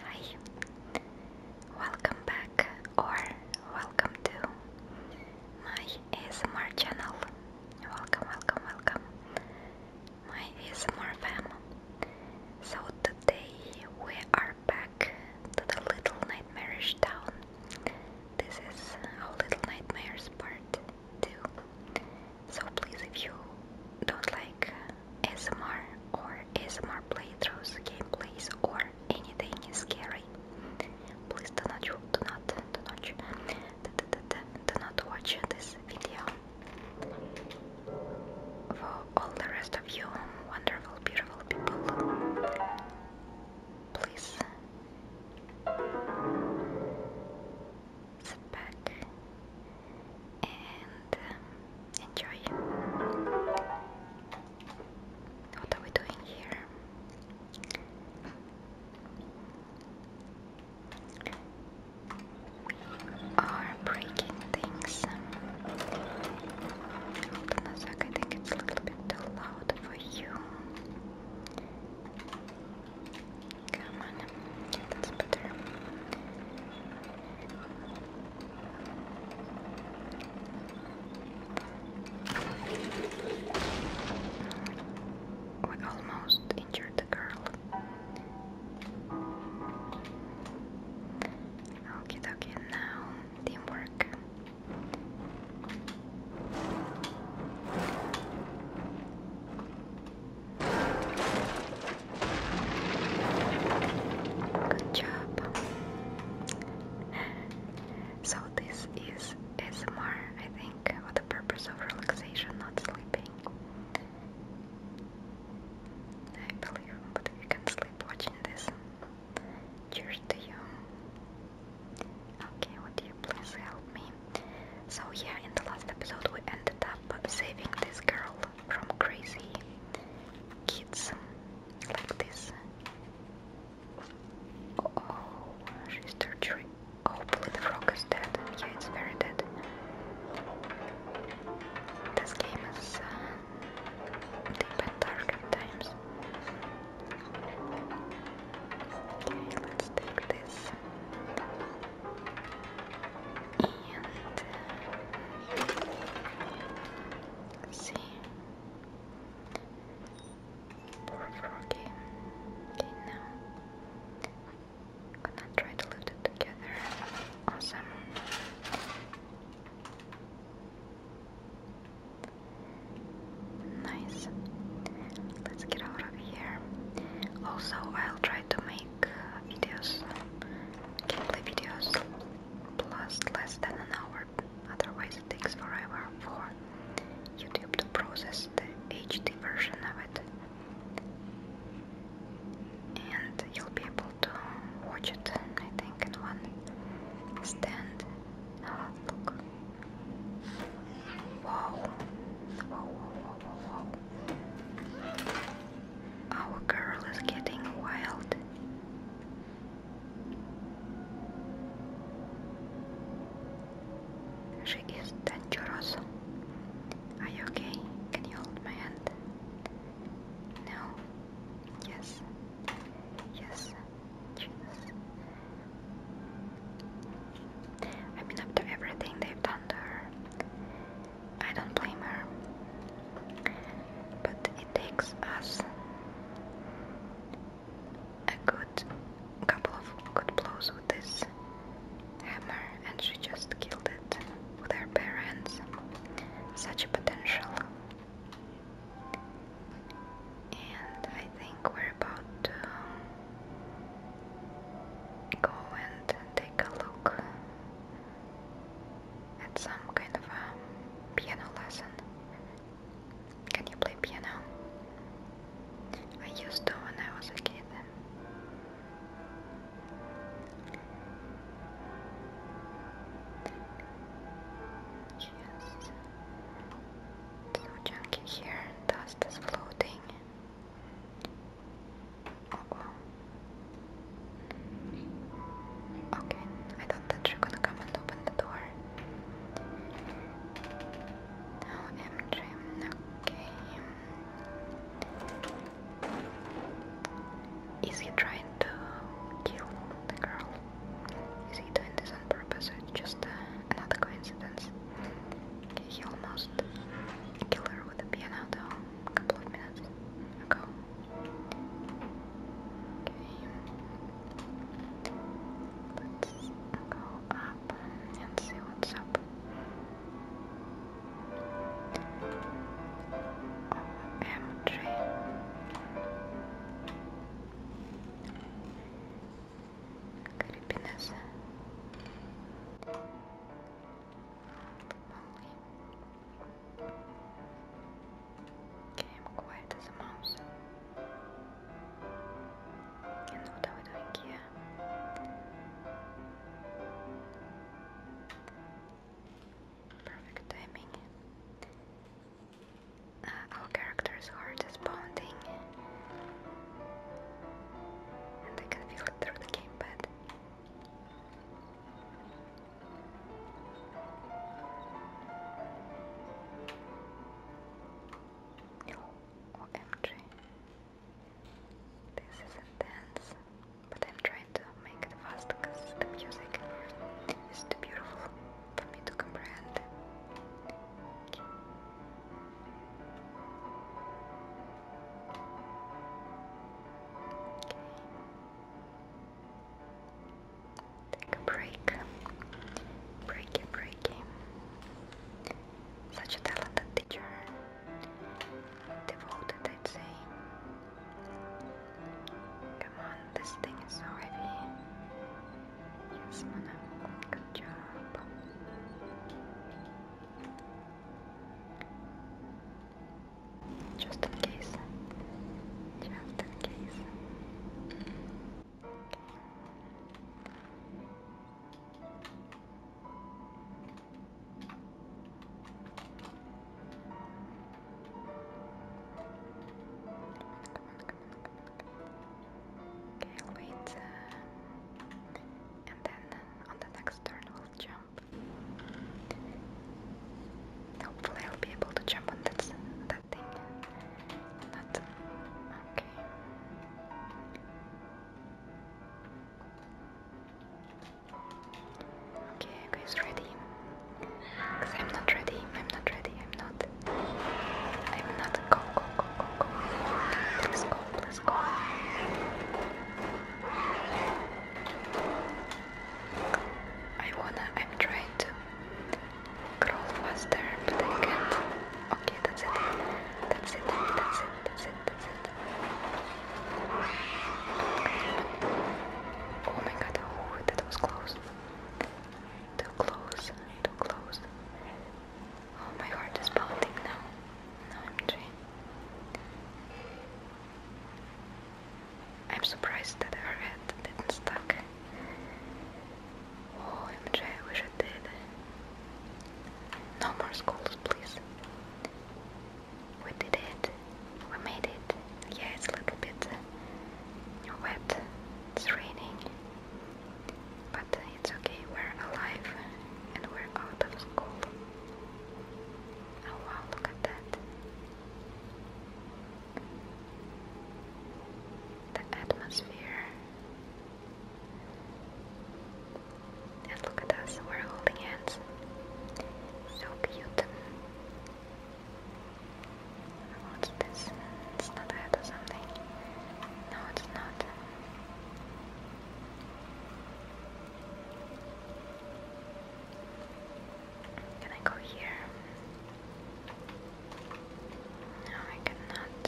Hi, welcome back or welcome to my ASMR channel. Welcome, welcome, welcome. My ASMR fam. So today we are back to the Little Nightmarish Town. This is our Little Nightmares part 2. So please if you don't like S.M.R. or ASMR playthroughs, gameplays or anything scary. Please do not, do not, do not, do not, do not watch this video. For all the rest of you wonderful, beautiful people, please sit back and um, enjoy. What are we doing here? We are breaking things. Hold on a sec, I think it's a little bit too loud for you. Come on, that's better. We almost injured the girl. Okay, okay, now teamwork. Good job. So this is ASMR, I think, for the purpose of relaxation, not sleeping. I believe, but you can sleep watching this. Cheers to you. Okay, would you please help me? So yeah, in the last episode we ended up saving this girl from crazy kids like this. Oh, she's torturing. Hopefully, the frog is dead. Yeah, it's very dead. This game is uh, deep dark at times. Okay, let's take this. Uh, Let's see. Okay. now I'm gonna try to loot it together. Awesome. Nice. Let's get out of here. Also, I'll try to make videos, gameplay videos last less than an hour, otherwise it takes forever for YouTube to process the HD version of it. And you'll be able to watch it, I think, in one stand. Ah, look. Wow. Whoa, whoa, whoa, Our girl is getting wild. She is dangerous. Are you okay? Can you hold my hand? No? Yes. Yes. Jesus. I mean, after everything they've done to her, I don't blame her. But it takes us a good couple of good blows with this hammer, and she just killed it with her parents. Such a potential. And I think we're about to go and take a look at some kind of a piano lesson. Can you play piano? I used to when I was a kid. Yes. So junky here, dust is floating. Oh, Okay, I thought that you're gonna come and open the door. Now MJ, okay. Is he trying to kill the girl? Is he doing this on purpose or just uh, another coincidence? he almost killed her with a piano though a couple of minutes ago. Let's go up and see what's up. OMG. Creepiness. Only Okay, I'm quiet as a mouse. And what are we doing here? Perfect timing. Uh, our character's heart is And I can feel it through the gamepad. OMG. Oh, this is intense, but I'm trying to make it fast because the music is too beautiful for me to comprehend. Okay. Take a break. Breaky, breaky. Such a talented teacher. Devoted, I'd say. Come on, this thing is so heavy. Yes, Mana. Good job. Just in case. Just in case. Okay, I'll wait, uh, and then on the next turn we'll jump. Hopefully I'll be able to jump on that, that thing. Not... okay. Okay, you guys ready? Cause I'm not ready, I'm not ready, I'm not. I'm not. Go, go, go, go, go. Please go, please go. I wanna, I'm trying to crawl faster, but I can't. Okay, that's it. That's it, that's it, that's it, that's it. Oh my god, oh, that was close. Too close, too close. Oh, my heart is pounding now. Now I'm dreaming. I'm surprised that her head didn't stuck. OMG, oh, I wish it did. No more schools, please. We did it. We made it. Yeah, it's a little bit wet. It's raining. But it's okay, we're alive and we're out of school. Oh wow, look at that the atmosphere. And look at us, we're holding hands. So cute. What's this? It's not head something. No, it's not. Can I go here? No, I cannot.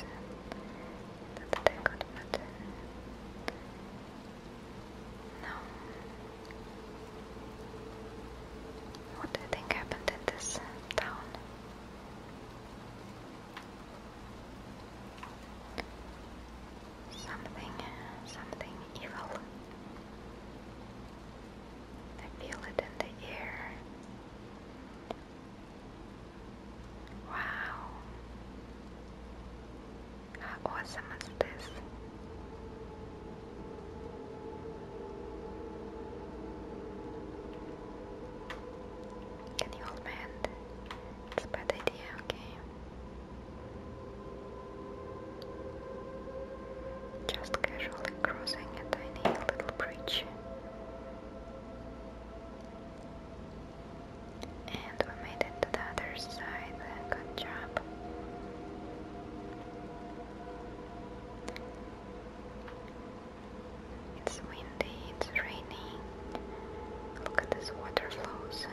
What do you think happened in this town? Something, something evil. I feel it in the air. Wow. How awesome is this? Can you hold my hand? It's a bad idea, okay? Just casually crossing a tiny little bridge. And we made it to the other side. Good job. It's windy, it's raining. Look at this water flows.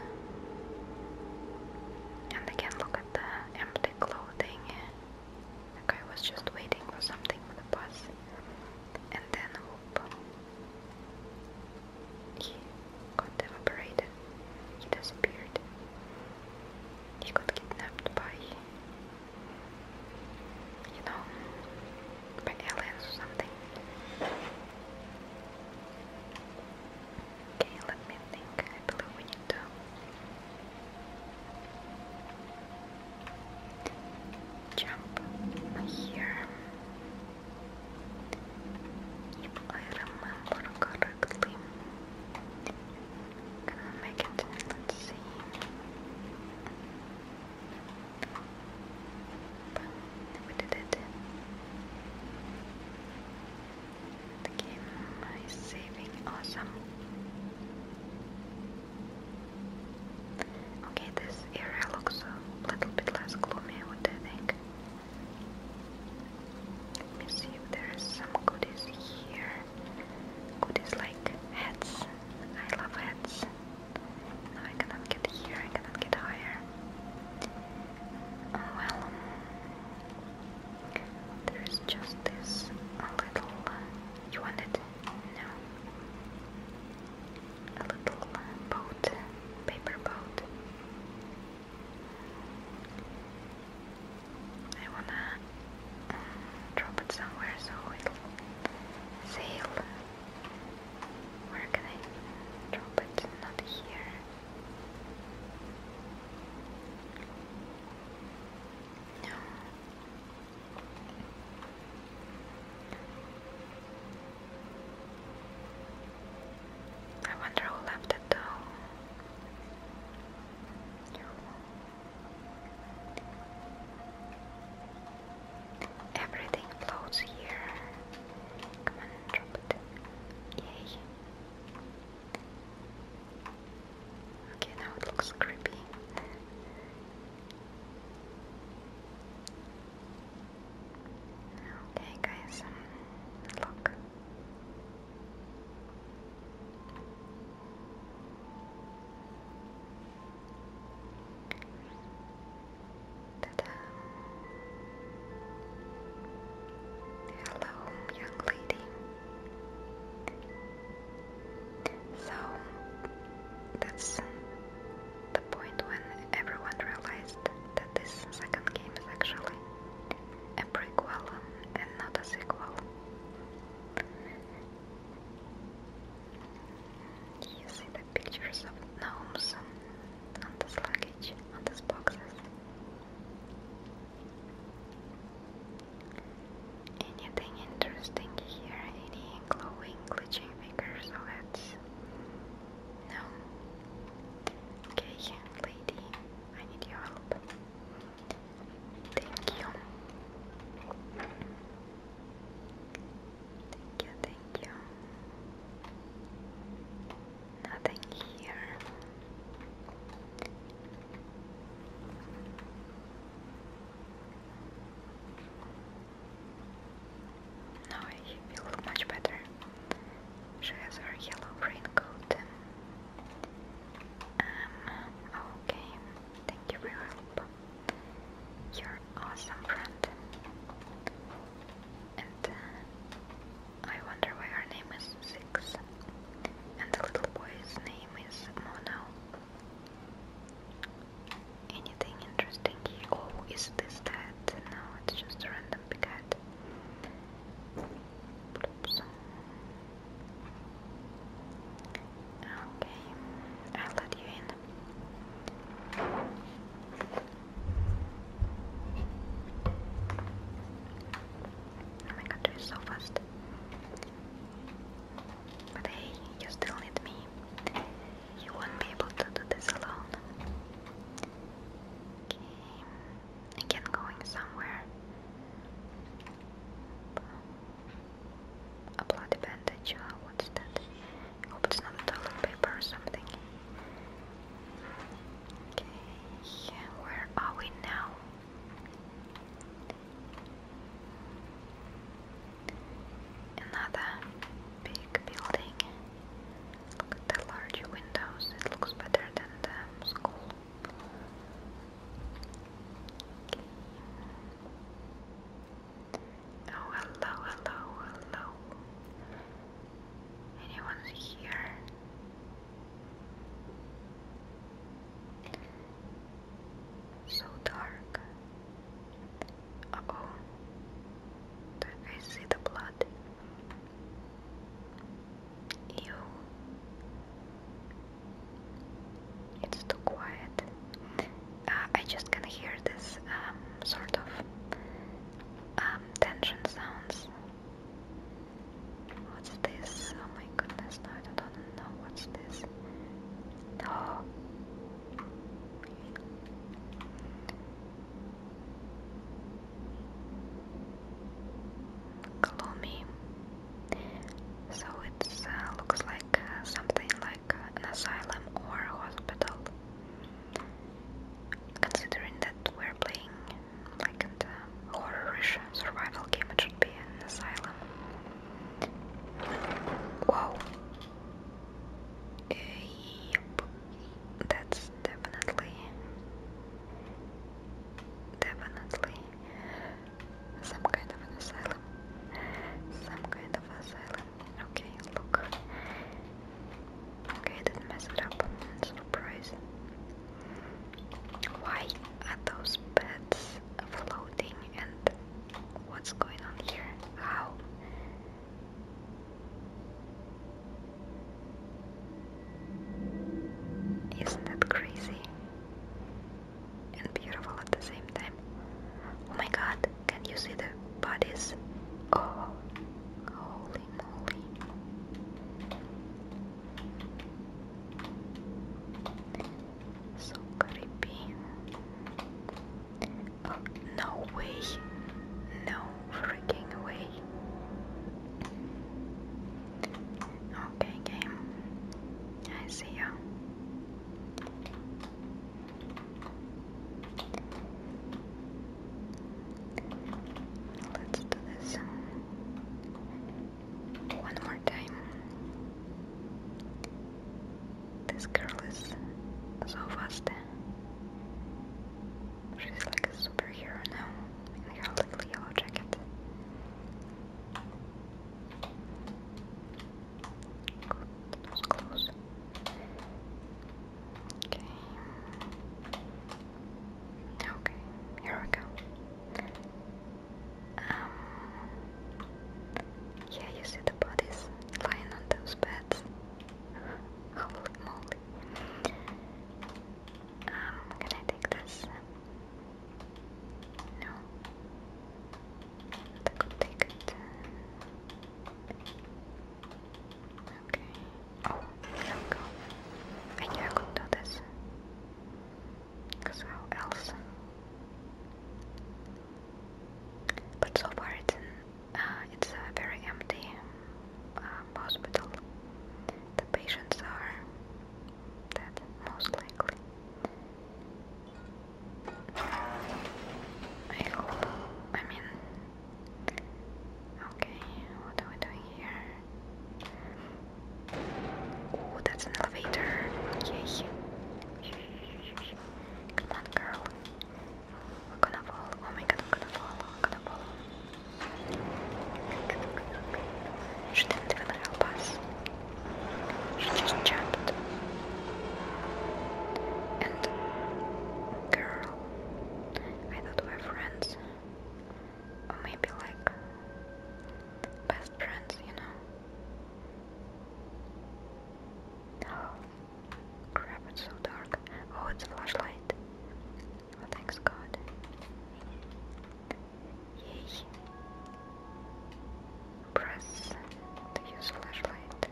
And again, look at the empty clothing. The guy was just waiting for something for the bus and then He got evaporated. He disappeared. He got kidnapped by you know by aliens or something. Okay, let me think. I believe we need Jump here. If I remember correctly. Can I make it? let But we did it. The game is saving. Awesome. Okay, this area looks a little bit less gloomy, what do you think? Let me see if there is some goodies here. Goodies like hats. I love hats. No, I cannot get here, I cannot get higher. Oh, well. There's just this little. Uh, you want it? No. A little uh, boat, paper boat. I wanna um, drop it somewhere so it'll sail. Where can I drop it? Not here. I wonder who left it though. Everything floats here. Come on, drop it. Yay. Okay, now it looks creepy. Okay, guys, um, look. Ta-da! Hello, young lady. So that's the point when everyone realized that this second game is actually a prequel and not a sequel. You see the pictures of gnomes on these luggage, on these boxes. Anything interesting here? Any glowing, glitching figures? No. Okay, lady, I need your help. Thank you. Thank you, thank you. Nothing here. Now he will much better. She has her yellow raincoat. Um, okay. Thank you for your help. You're awesome friend. And uh, I wonder why her name is and the little boy's name is Mono. Anything interesting oh, is this that? No, it's just a random picket. Okay, I'll let you in. Oh my god, you're so fast. But hey, you still need me. You won't be able to do this alone. Okay, again going somewhere. A bloody bandage, uh, what's that? hope it's not toilet paper or something. Okay, where are we now? Another big building. Look at the large windows, it looks better than the school. Oh, hello, hello, hello. Anyone's here? So dark. oh. do I see the blood? Ew. It's too quiet. Uh, I just can hear this um, sort of um, tension sounds. What's this? Oh my goodness, no, I don't know what's this. Oh. Gloomy. So it uh, looks like uh, something like an asylum or hospital. Considering that we're playing like a horrorish survival game, it should be an asylum. Wow. yep. That's definitely definitely some kind of an asylum. Some kind of asylum. Okay, look. Okay, didn't mess it up. Surprise. Why are those beds floating? and what's going on here? How? Isn't that crazy and beautiful at the same time? Oh my god, can you see the bodies? Oh, holy moly. So creepy. Oh, no way. No freaking way. Okay, game. I see ya. Let's do this. One more time. This girl is so fast. She's like a superhero now in her little yellow jacket. Good, that was close. Okay. Okay, here we go. Um, yeah, you see the bodies lying on those beds. Holy moly. Um, can I take this? No. I could take it. Okay. Oh, there we go. I knew I could do this. Because how else? But so far it's, uh, it's a very empty um, hospital. The patients are dead, most likely. I hope. I mean, okay, what are we doing here? Oh, that's an elevator. Come on, girl. We're gonna fall. Oh my god, gonna fall. I'm gonna fall. She not even help just jumped. And girl, I thought we were friends, or maybe like best friends, you know. Oh, crap, it's so dark. Oh, it's a flashlight. Oh, thanks God. Yay. Press to use flashlight.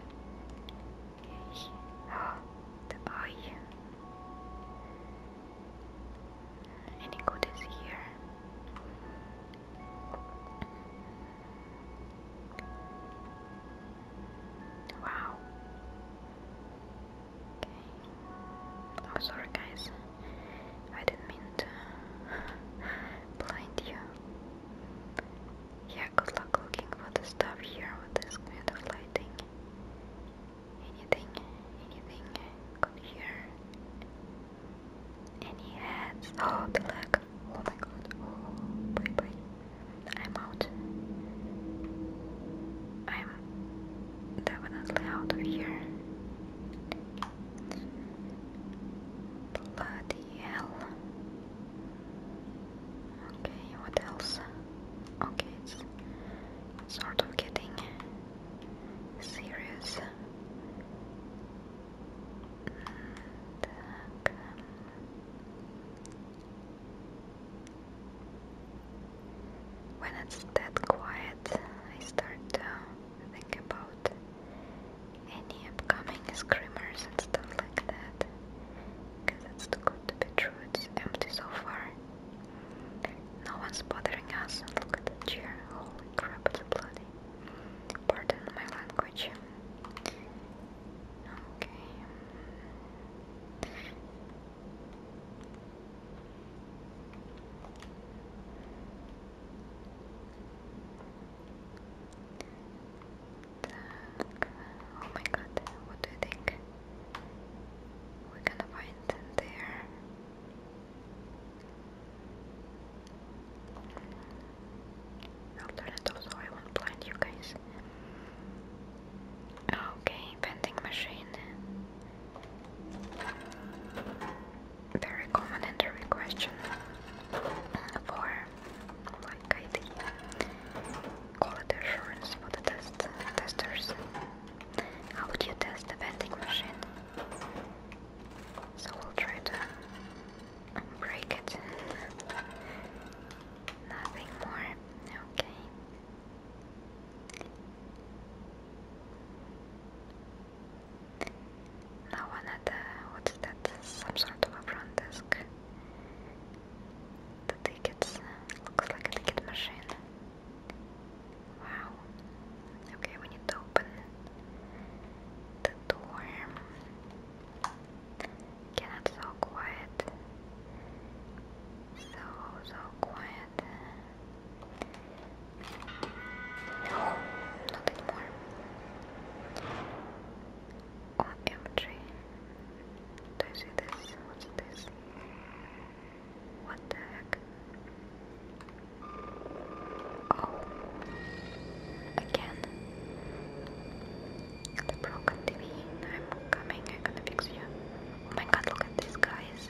Yay. Oh, the eye. Any good is here? Wow. Okay. Oh, sorry, guys. I didn't mean to blind you. Yeah, good luck looking for the stuff here with this kind of lighting. Anything, anything good here? Any heads? Oh, the leg. Oh my god. Oh, bye bye. I'm out. I'm definitely out of here. Bloody hell. Okay, what else? Okay, it's sort of getting serious. Так. When it's that quiet, I start to think about any upcoming screamers and stuff like that. Because it's too good to be true, it's empty so far. No one's bothering us. Look at the chair. Holy crap, bloody. Pardon my language. Okay. Oh my god, what do you think? We're gonna find there. After that also I won't blind you guys. Okay, vending machine. Very common and question for like ID quality assurance for the test testers. How would you test the vending machine? So we'll try to break it. Nothing more. Okay. No one at the what's that? Some sort of a front desk. The tickets looks like a ticket machine. Wow. Okay, we need to open the dorm. Again, it's quiet. So, so quiet. No, not anymore. OMG. Oh, Do you see this? What's this? What the heck? Oh. Again. The broken TV. I'm coming. I'm gonna fix you. Oh my god, look at these guys.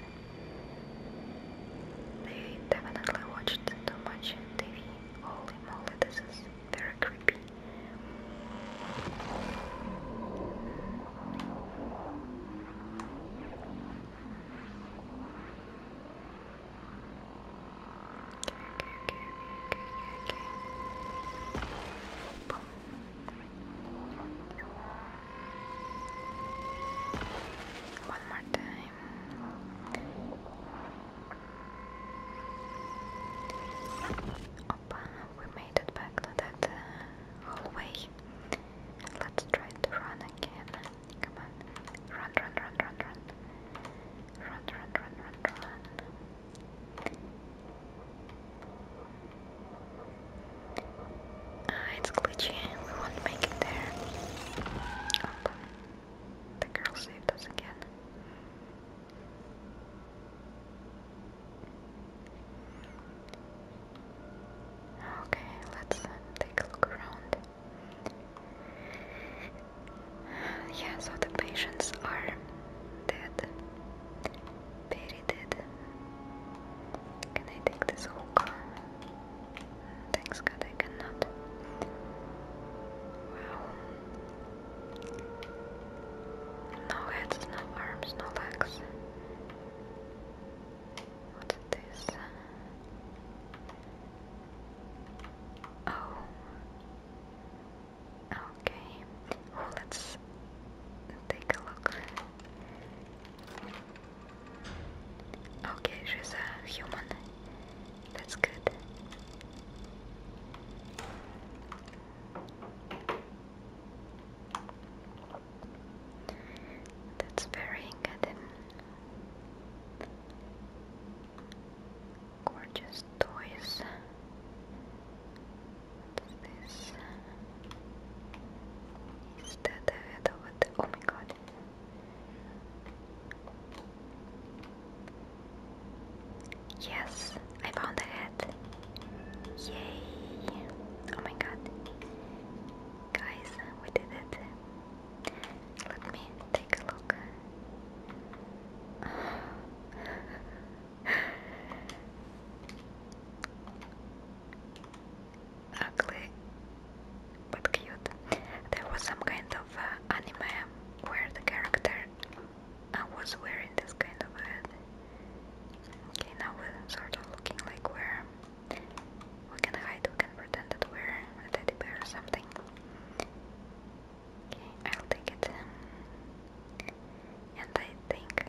They definitely watched too much TV. Holy moly, this is very creepy. One more time. Opa, we made it back to that uh, hallway. Let's try to run again. Come on. Run, run, run, run, run. Run, run, run, run, run. Ah, it's glitchy. We won't make it there. Oh, the girl saved us again. Okay, let's uh, take a look around. Yeah, so the patients are dead. Very dead. Can I take this hookah? Thanks God I cannot. No heads, no arms, no legs. What's this? Oh. Okay. Well, let's take a look. Okay, she's a human. That's good. That's very good. Gorgeous toys. What's this? Is that the head Oh my god. Yes, I found a head. Yay! Oh my god. Guys, we did it. Let me take a look. Ugly, but cute. There was some kind of uh, anime where the character uh, was wearing this kind of Okay, now we sort of looking like we're. We can hide, we can pretend that we're a teddy bear or something. I'll take it. And I think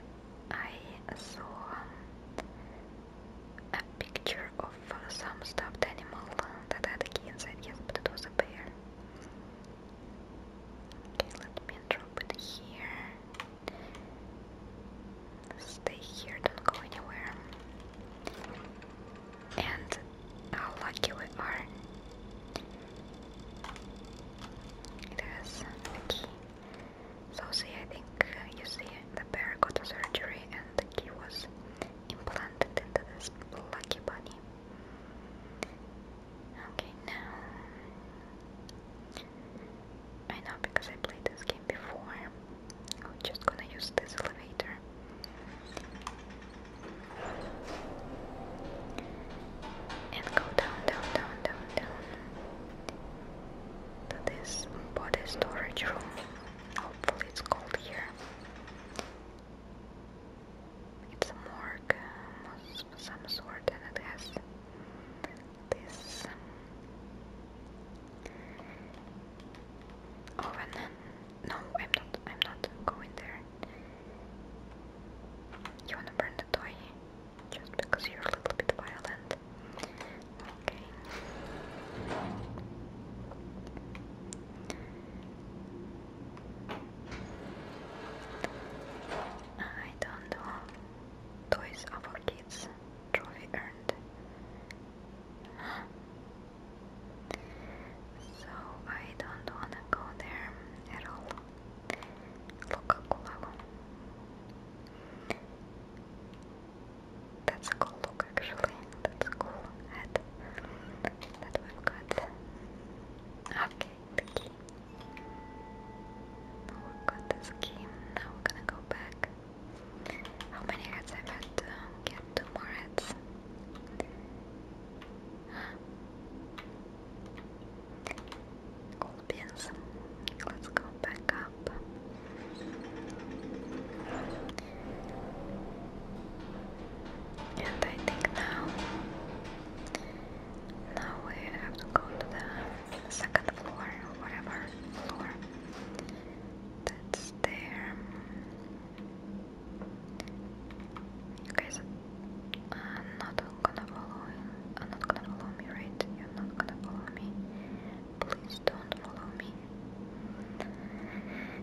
I saw a picture of some stuffed animal that had a key inside, yes, but it was a bear. Okay, let me drop it here. Stay here, don't go anywhere and how lucky we are. It has So see, I think you see the bear got a surgery and the key was implanted into this lucky bunny. Okay, now I know because I played this game before. I'm just gonna use this elevator and go down, down, down, down, down to this body storage room. Hopefully, it's cold here. It's a morgue some sort, and it has this um, oven. No, I'm not. I'm not going there. You wanna burn the toy just because you're a little bit violent? Okay. I don't know. Toys of our kids. Trophy earned. So I don't wanna go there at all. Coca-Cola. That's cool look actually. That's cool hat that we've Okay, the key. we got this key. Now we're gonna go back. How many heads i had to get? Two more heads. Gold pins. Let's go back up. And I think now, now we have to go to the second floor or whatever floor that's there. Okay, so I'm not gonna follow I'm uh, not gonna follow me, right? You're not gonna follow me. Please don't follow me.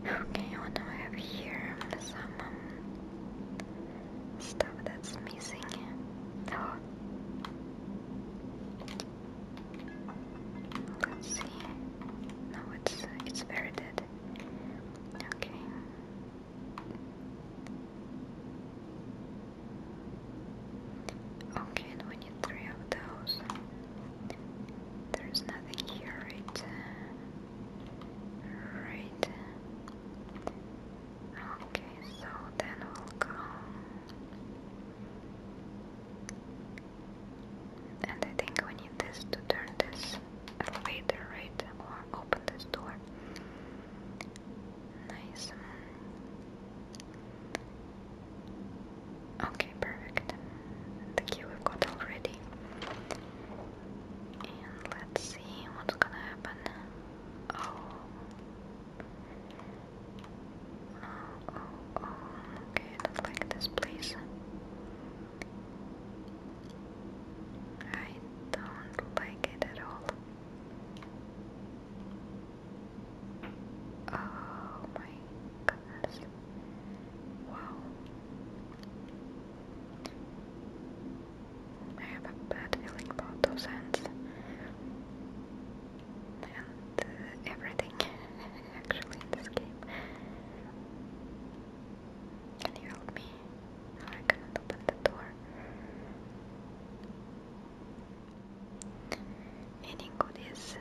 Okay, what I have here? Some um, stuff that's missing. Oh. Let's see. No, it's it's very dead. Okay. Okay, we need three of those. There's nothing here, right? Right. Okay, so then we'll go. And I think we need this to turn this this Or open this door. Nice. Okay, perfect. The key we've got already. And let's see what's gonna happen. Oh. Oh, oh, oh. Okay, not like this place. I don't like it at all. Oh my goodness. Wow. I have a bad feeling about those hands. And uh, everything, actually, this game. Can you help me? Oh, I cannot open the door. Any goodies?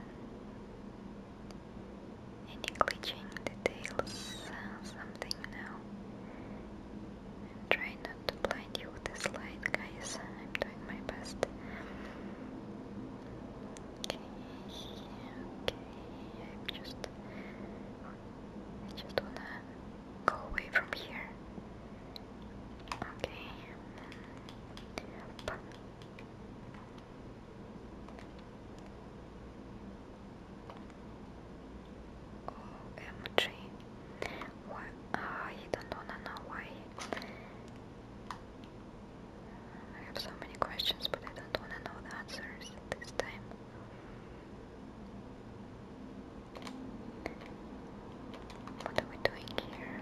Any glitching details? something now? I'm trying not to blind you with this light, guys. I'm doing my best. Okay, okay. I'm just I just wanna go away from here. Okay. Yep. OMG. Why? I don't wanna know why. I have so many questions, but I don't wanna know answers this time. What are we doing here?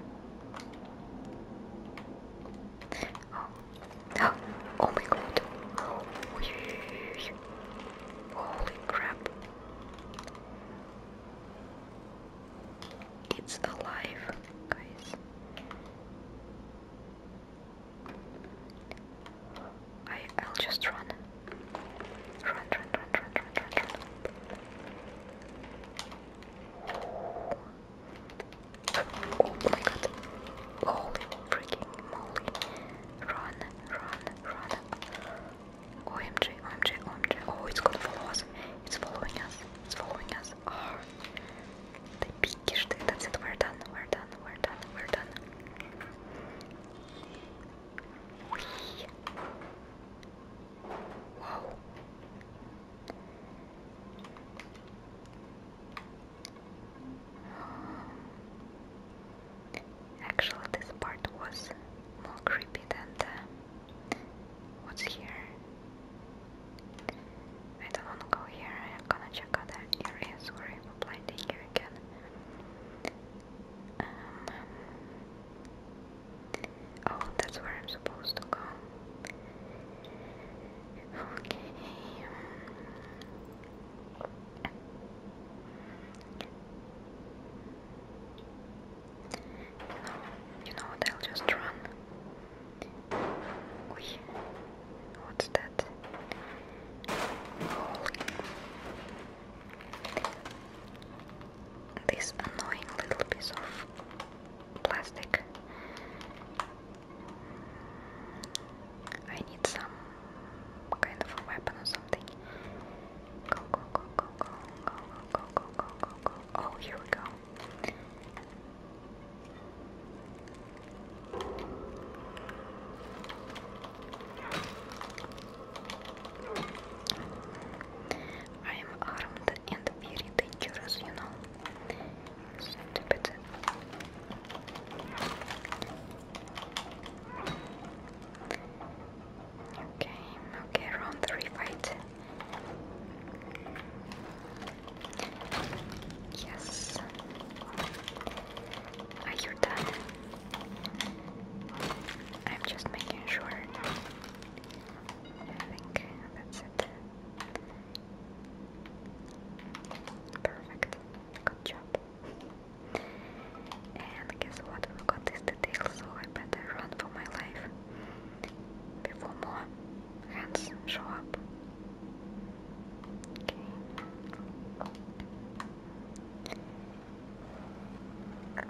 Oh, oh, oh my god. Holy crap. It's alive, guys. I I'll just run. Run, run, run, run, run, run, Oh my god. Holy freaking moly. Run, run, run. OMG, OMG, OMG. Oh, it's gonna follow us. It's following us. It's following us. Oh. They peeked. That's it. We're done. We're done. We're done. We're done. Whoa. Actually, this part was more creepy than what's here. I don't wanna go here, I'm gonna check other areas where you applied the again. Um, oh, that's where I'm supposed to go. Okay. You you know what? I'll just run. Oy. What's that? Holy. This annoying little piece of plastic. I need some kind of a weapon or something. Go, go, go, go, go, go, go, go, go, go, go. Oh, here we go. I am armed and very dangerous, you know. Stupid. Okay, okay, round three fight. Yes. Are you done? I'm just making sure. I think that's it. Perfect. Good job. And guess what? We got this detail, so I better run for my life before more hands show up. Okay. Okay.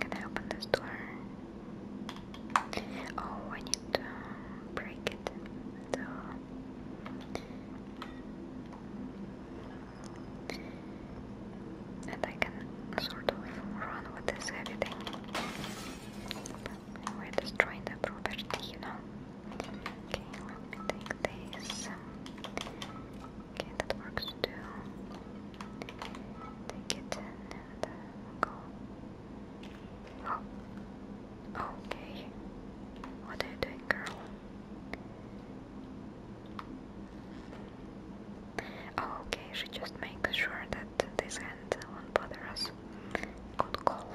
Can I open this door? Oh, I need to break it. and I can sort of run with this we're destroying the property, you know. Okay, let me take this. Okay, that works too. Take it and uh, go. Oh. Okay. What are you doing, girl? Oh, okay, she just makes sure that this hand won't bother us. Good call.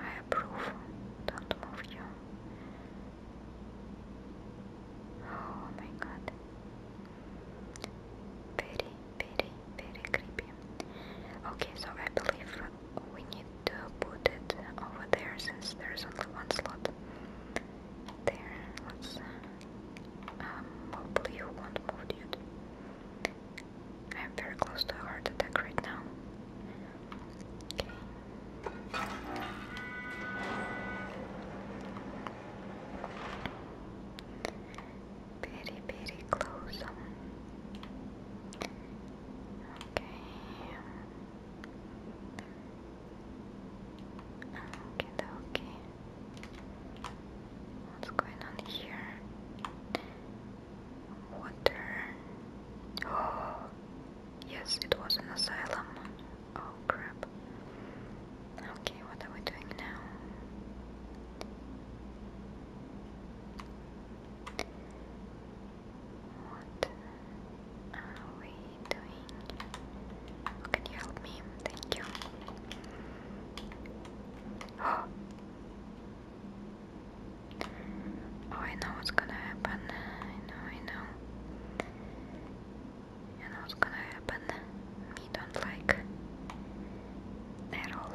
I approve. Don't move you. Oh my god. Very, very, very creepy. Okay, so I believe we need to put it over there since there's only one slot. There, let's. Um, not move, dude. I'm very close to a heart attack right now. Okay. Very, very close. Okay. Okay, okay. What's going on here? Water. Oh, yes, it was an asylum. Oh, crap. Okay, what are we doing now? What are we doing? Can you help me? Thank you. Oh, I know what's gonna happen. I know, I know. I know what's gonna happen. We don't like at all.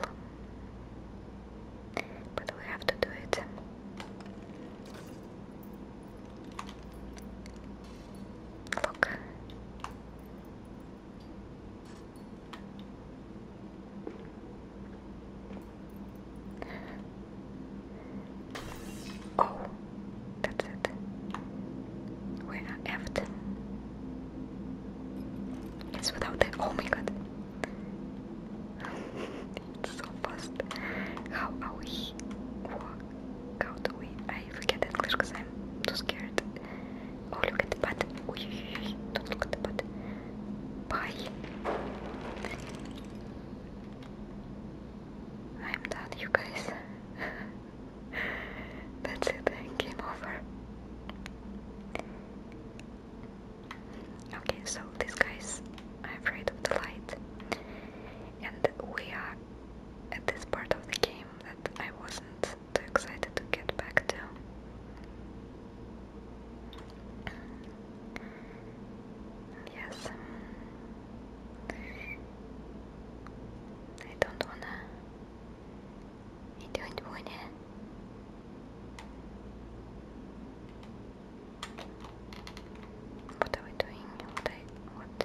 But we have to do it. Look. Oh, that's it. We are effed. It's without the. Oh my god. it's so fast. How are we? How do we? I forget English because I'm too scared. Oh, look at the butt. Oy, oy, oy. Don't look at the butt. Bye. I'm done, you guys. That's it, game over. Okay, so these guys are afraid of the light, and we are at this part of the game that I wasn't too excited to get back to. Yes. I don't want I don't wanna. What are we doing? what?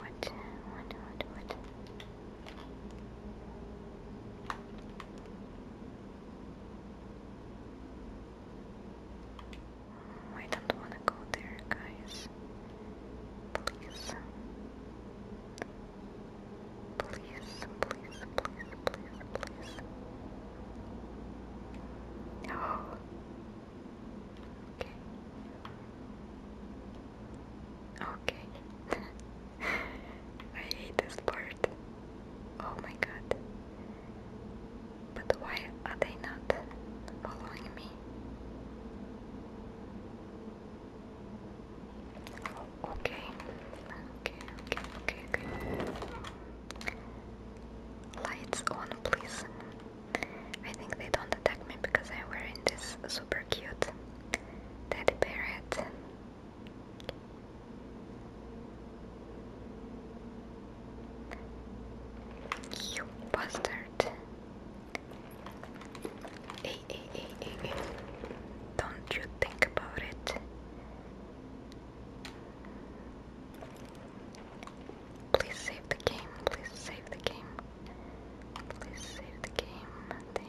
What? What? What? What? I don't want to go there, guys. Please. Please, please, please, please, please. Okay. Okay. I hate this part. Oh my god. But why are they not following me? Oh, okay. Okay, okay, okay, okay. Lights on, please. I think they don't attack me because I'm wearing this super cute teddy parrot. You bastard. Hey, hey, hey, hey, Don't you think about it. Please save the game, please save the game. Please save the game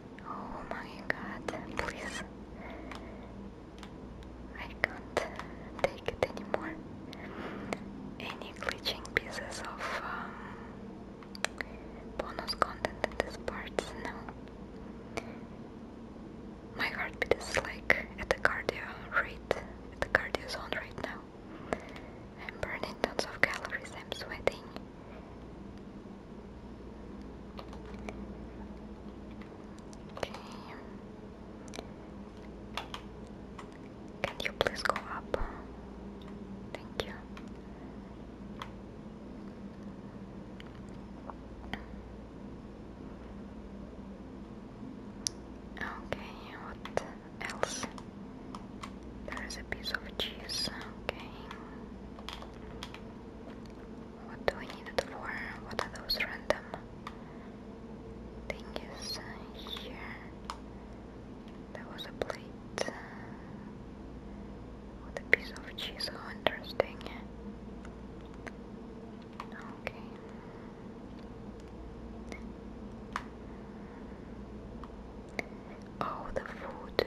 Oh my god, please. I can't take it anymore. Any glitching pieces of um, bonus content in this part? No. My heartbeat is like at the cardio rate, at the cardio zone right now. I'm burning tons of calories, I'm sweating. Can you please go up? Thank you. Okay, what else? There is a piece of cheese. Okay. What do I need it for? What are those random thingies here? There was a plate with a piece of cheese. Oh, interesting. Okay. Oh, the food.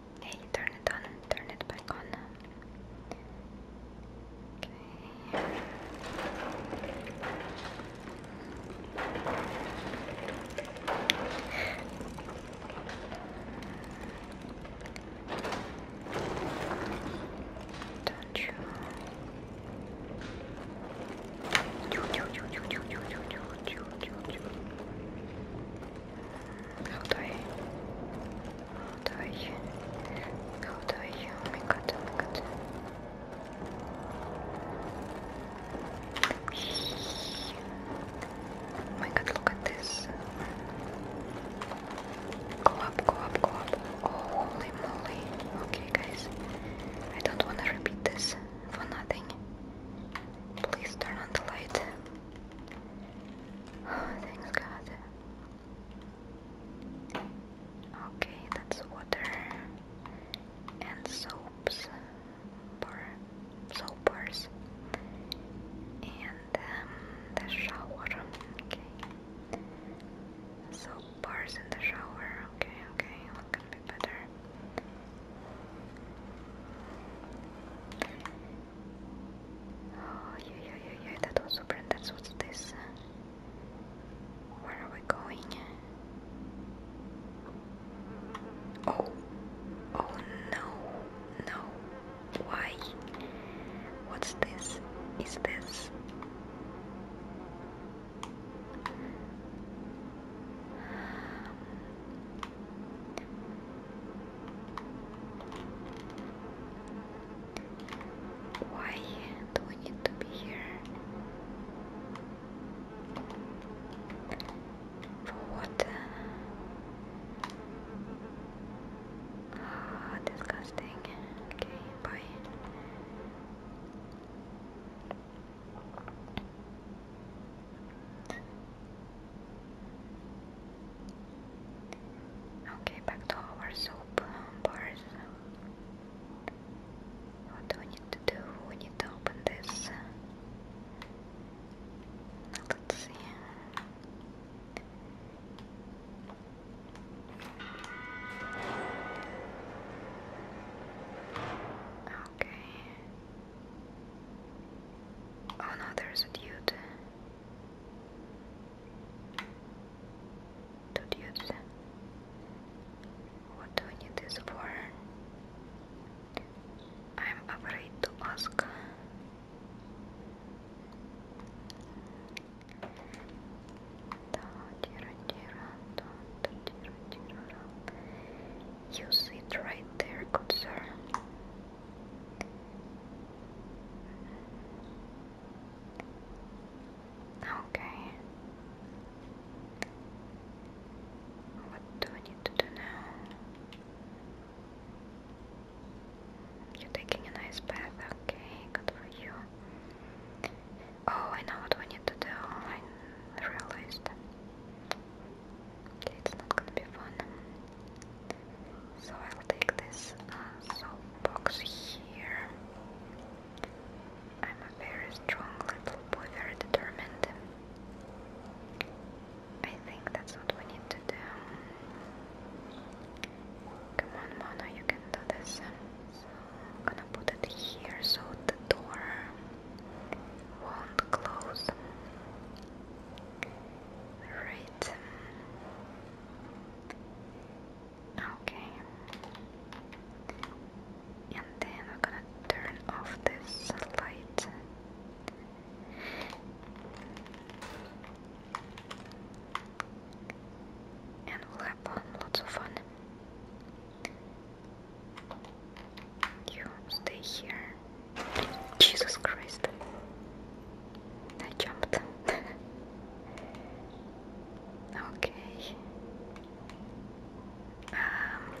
Okay, turn it on and turn it back on. Okay. Haut euch. Haut Oh mein Gott, oh mein Gott. Oh my god, look at this. Go up, go up, go up. Oh, holy moly. Okay, guys. I don't want to repeat this for nothing. Please turn on the light. Oh, thanks God. Okay, that's water and soaps, bar, soap bars, and um, the shower. Okay, soap bars in the shower. Okay, okay, what can be better? Oh, yeah, yeah, yeah, yeah, that also brand. That's what's this. Uh, where are we going? Oh, oh no, no. Why? What's this? Is this? Why do we need to be here? For what? Ah, disgusting. Okay, bye. Okay, back to our soap bars. What do we need to do? We need to open this. Let's see. Okay. Oh no, there's a dude. Two dudes. What do we need this for? I'm afraid to ask. You sit right there, good sir. Okay. What do I need to do now? You're taking a nice bath, okay, good for you. Oh, I know what we need to do, I realized it's not gonna be fun. So I'll take this uh, box here. I'm a very strong little boy, very determined. I think that's what we need to do. Come on, Mono, you can do this. gonna put it here so the door won't close. Right. Okay. And then we're gonna turn off this light. And we'll have um, lots of fun. You stay here. Jesus Christ. I jumped. okay. Um,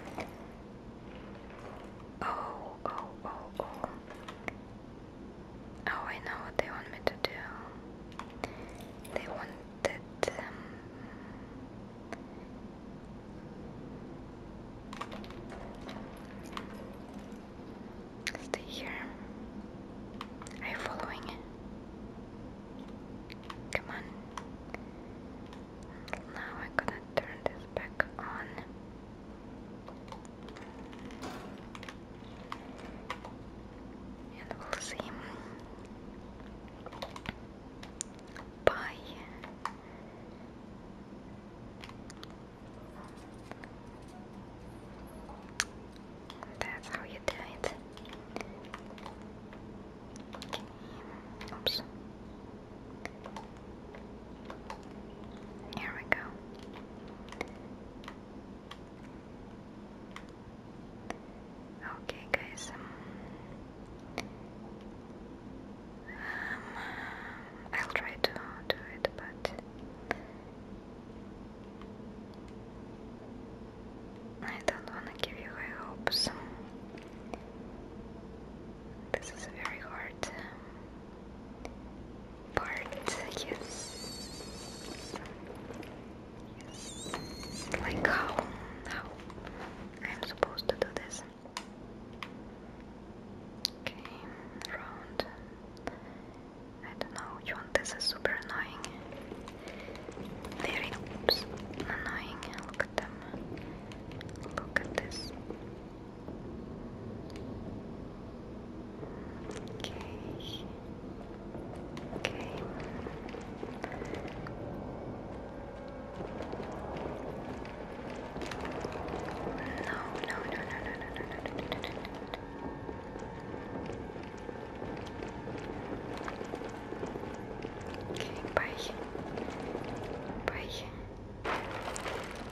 oh, oh, oh, oh. Oh, I know what they want me to do. They wanted. Um, Stay here. Are you following? Come on. Now I'm gonna turn this back on. And we'll see. Bye. That's how you do it. Okay. Oops. Here we go. Okay, guys. Um, um, I'll try to do it, but I don't want to give you high hopes. This is a very hard um, part. Yes. Yes. Like how? How? I'm supposed to do this. Okay, round. I don't know which one this is super annoying. Very oops, annoying. Look at them. Look at this. Okay. Okay. No, no, no, no, no, no, no, no, no, no, no. Okay, bye. Bye.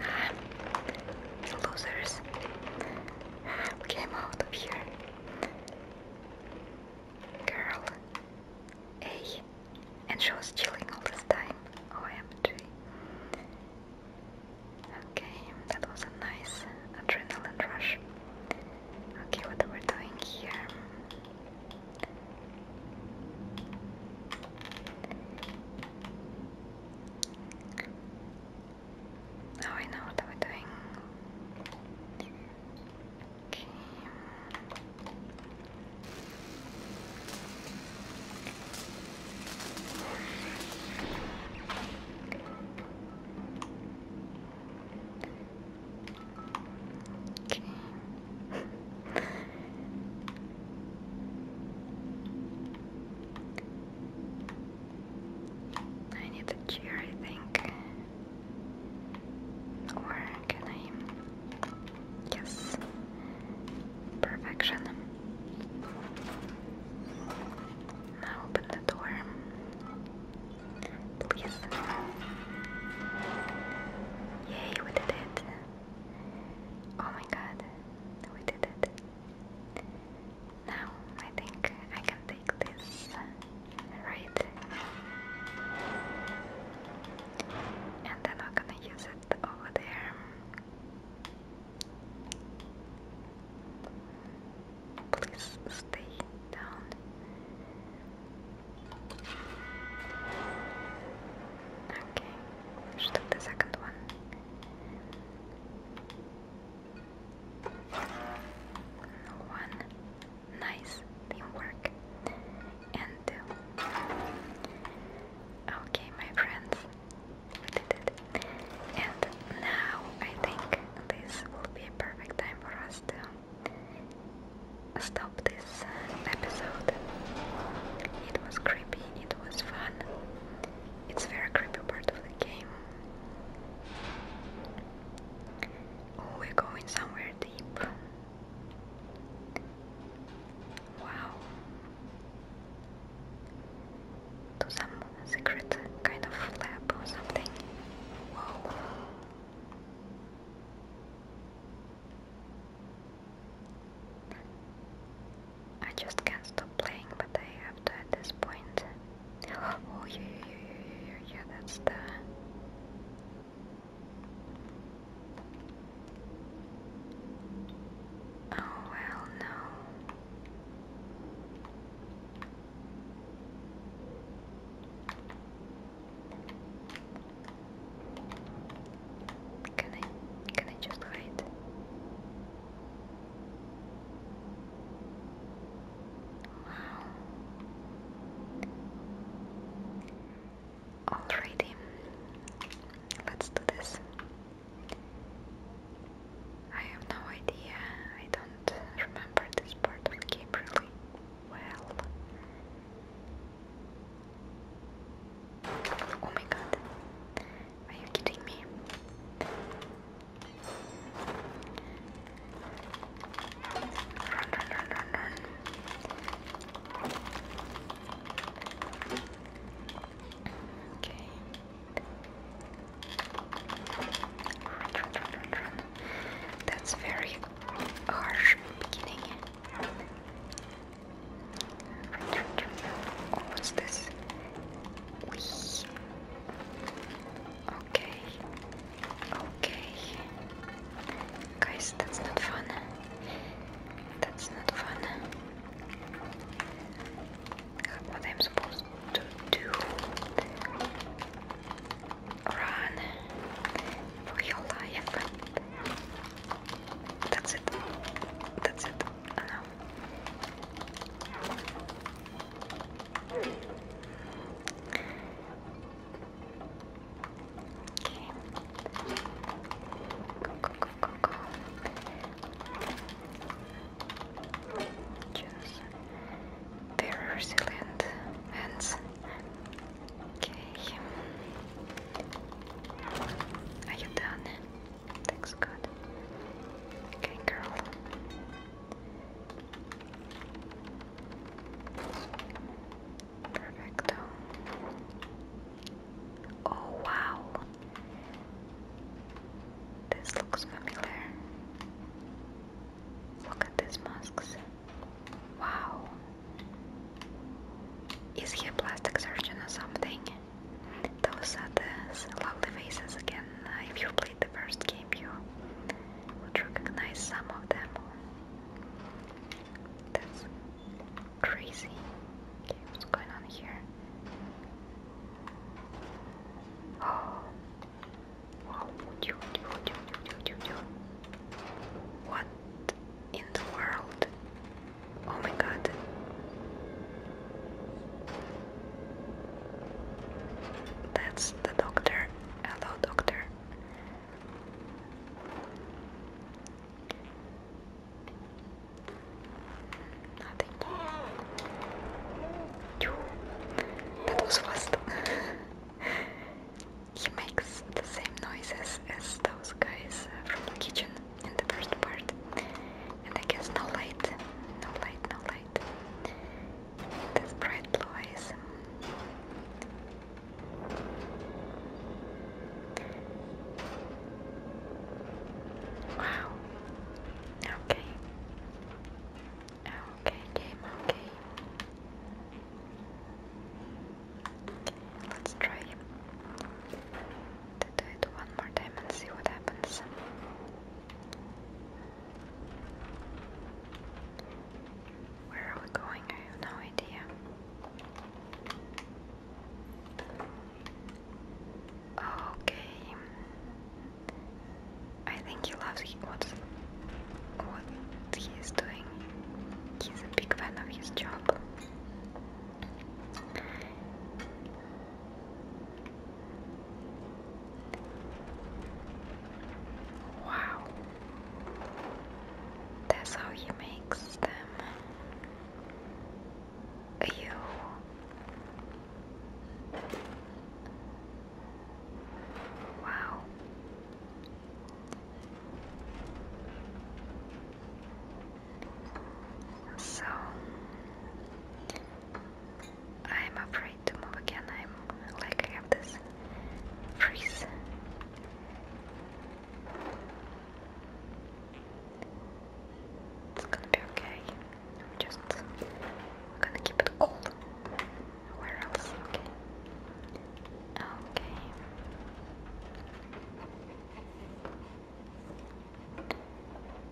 Ah, losers. Came out of here. Girl. A. And she was chilling all this time. OMG. Okay, that was a nice adrenaline rush. Okay, what are we doing here? Now I know what we doing. Okay. I need a chair, I think. Or can I? Yes. Perfection. Now open the door. Please. Yay, we did it. Oh my god, we did it. Now I think I can take this, right? And then I'm gonna use it over there. Please stay down. Okay, we the second one. One. Nice teamwork. And two. Okay, my friends, and now I think this will be a perfect time for us to stop this episode. It was creepy, it was fun. It's a very creepy part of the game. we're going somewhere deep. Wow to some secret kind of lab or something. Whoa. I just can't stop playing, but I have to at this point. Oh, yeah, yeah, yeah, yeah, yeah that's the. Oh, well, no. Can I can I just hide? Wow. Alrighty, let's do this. I have no idea. I don't remember this part of the game really well. Oh my god. Are you kidding me? Okay. That's very harsh beginning. Oh, what's this? Whee. Okay. Okay. Guys, that's not fun. That's not fun what I'm supposed to do. Run for your life. That's it. That's it. Okay. Go, go, go, go, go. Just very Okay. Are you done? Thanks God. Okay, girl. Perfecto. Oh wow, this looks familiar. Look at these masks. Wow. Is he a plastic surgeon or something? Those are the lovely faces again. Uh, if you played the first game, you would recognize some of them. That's crazy what's going on here? Oh, wow, What in the world? Oh my god. That's the doctor. Hello, doctor. Nothing. Phew. That was fast. he makes the same noises as those guys from the kitchen in the first part. And I guess no light. No light, no light. This bright blue Wow, Okay. Okay, game, okay. Let's try to do it one more time and see what happens. Where are we going? I have no idea. Okay. I think he loves what, what he doing. He's a big fan of his job. Wow. That's how he makes them. You Wow. So I'm afraid to move again. I'm like I have this freeze. It's gonna be okay. just gonna keep it cold. Where else? Okay. Okay.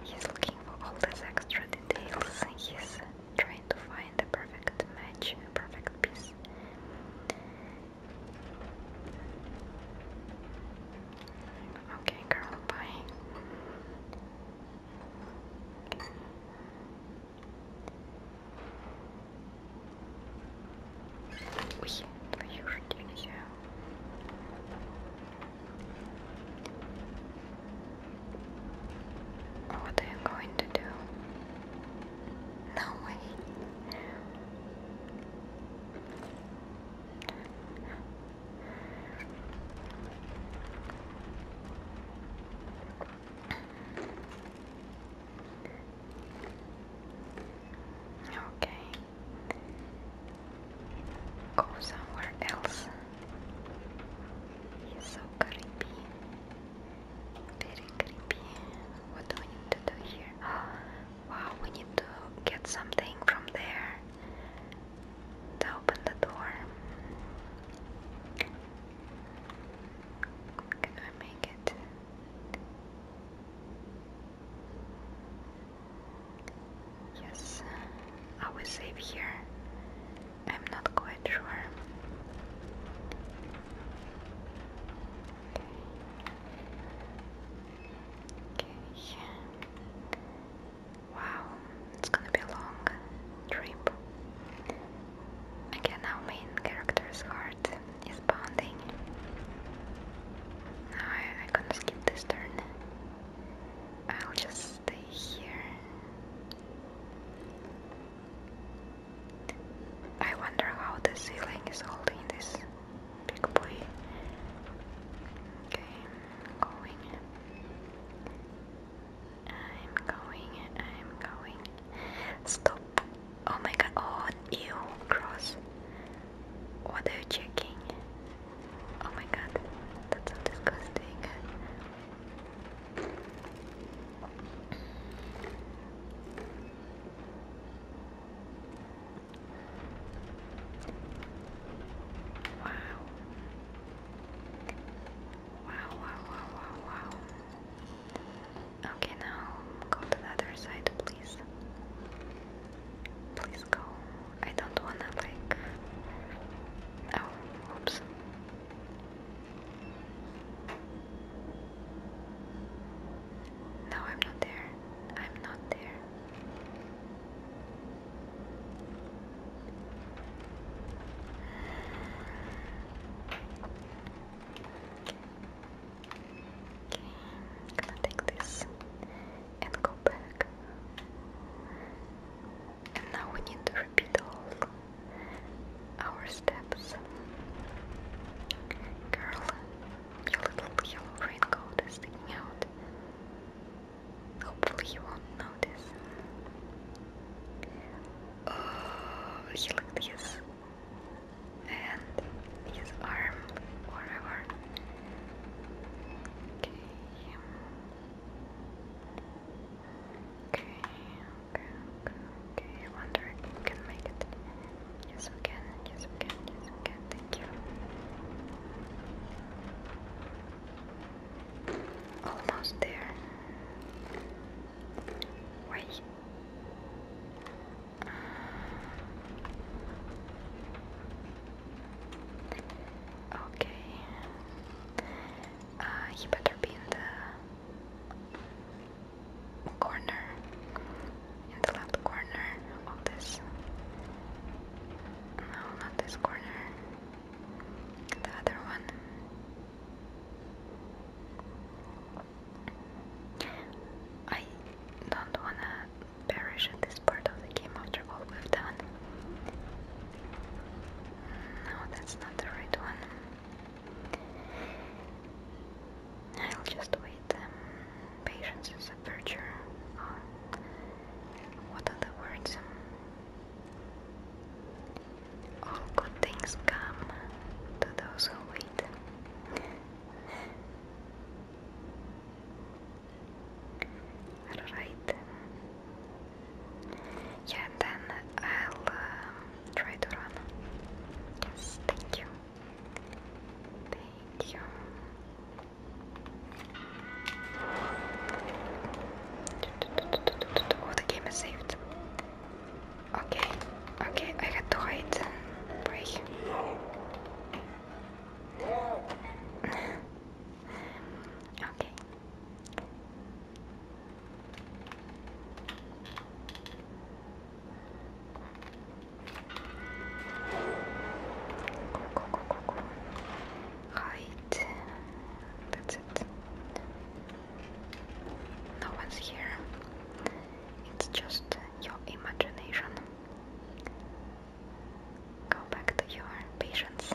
He's looking for all these extra details. He's trying to find the perfect match, perfect piece. Okay, girl, bye. Oui, oui, aujourd'hui monsieur. What are you going to do? No way. Okay. Go somewhere else. He's so creepy. Very creepy. What do we need to do here? Oh, wow, we need to get something from there to open the door. Can I make it? Yes, I will save here. I'm not quite sure. Okay. Okay. Wow, it's gonna be a long trip. Again, our main character's heart is pounding. No, I, I can't skip this turn. I'll just stay here. I wonder how the ceiling is holding this big boy. Okay, going. I'm going, I'm going. Stop. Oh my god, oh, you cross. What are you checking? Oh my god, that's so disgusting. Wow. Wow, wow, wow, wow, wow. Okay, now go to the other side, please. Please go. I don't wanna, like. Oh, oops. No, I'm not there. I'm not there. I'm gonna take this and go back. And now we need to repeat all our steps. Girl, your little yellow raincoat is sticking out. Hopefully you won't notice. Oh, he looked his hand, his arm, whatever. Okay. Okay, okay, okay, I wonder if we can make it. Yes, we can. Yes, we can. Yes, we can. Thank you. Almost there. Wait. okay. Uh, better be in the corner, in the left corner of this. No, not this corner the other one. I don't wanna perish at this part of the game after all we've done. No, that's not the right one. I'll just wait. Um, patience is a virtue. What are the words? All good things come to those who wait. Alright. Yeah, then I'll um, try to run. Yes, thank you. Thank you. Oh, the game is saved. Okay, okay, I had to hide. Break. okay. Go, go, go, go, go hide. That's it. No one's here. It's just your imagination. Go back to your patients.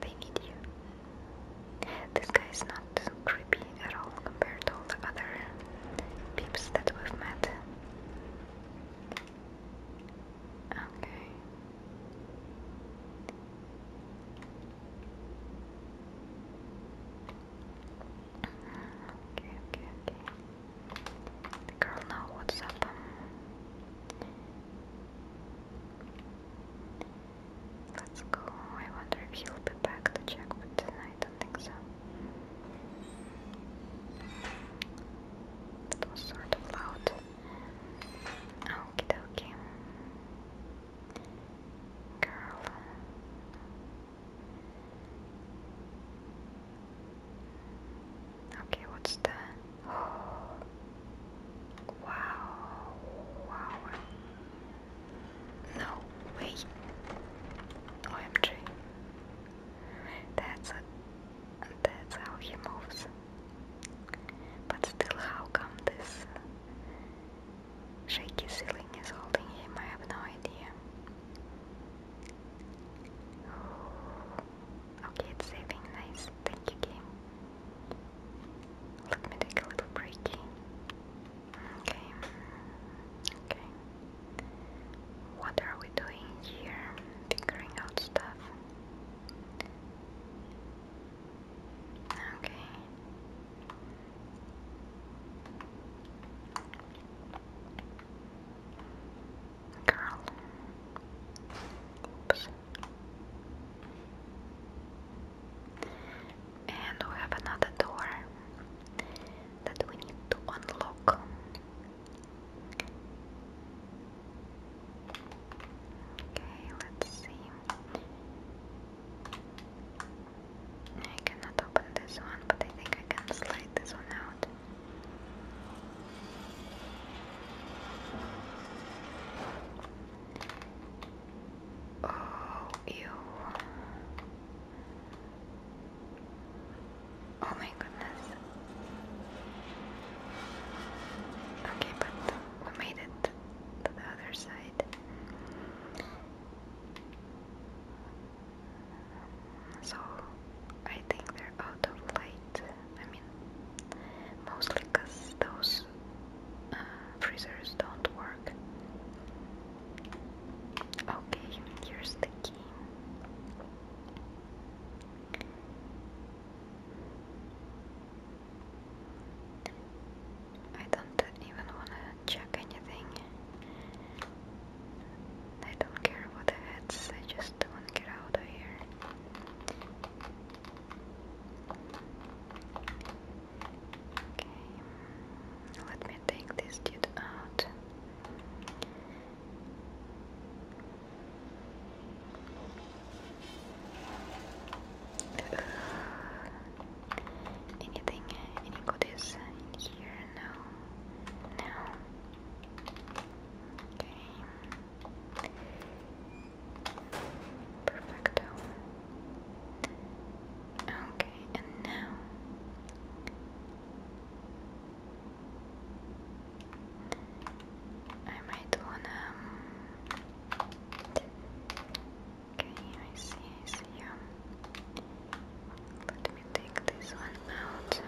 They need you. This guy is not creepy at all compared to all the other peeps that we've met. Okay. Okay, okay, The girl know what's up. Let's go. I wonder if he'll be back to check, but I don't think so. That was sort of loud. Okie dokie. Girl. Okay, what's the oh. Wow, wow. No, wait. OMG. That's a that's how he moves. But still, how come this shaky ceiling is holding him? I have no idea. Okay, it's saving. Nice. Thank you, game. Let me take a little breaky. Okay. Okay. What are we doing here? Figuring out stuff. Okay. Girl. Oops. And we have another door that we need to unlock. Okay, let's see. I cannot open this one, but I think I can slide this one out. Oh, ew. Oh my goodness. Okay, but we made it to the other side. So I think they're out of light. I mean, mostly because those uh, freezers don't work. Okay, here's the key. I don't even wanna check anything. I don't care about the I just wanna get out of here. Okay, let me take this dude out. Anything? Uh, any goodies in here? No. No. Okay. Perfecto. Okay, and now. I might wanna um, Okay, I see, I see you. Let me take this one out.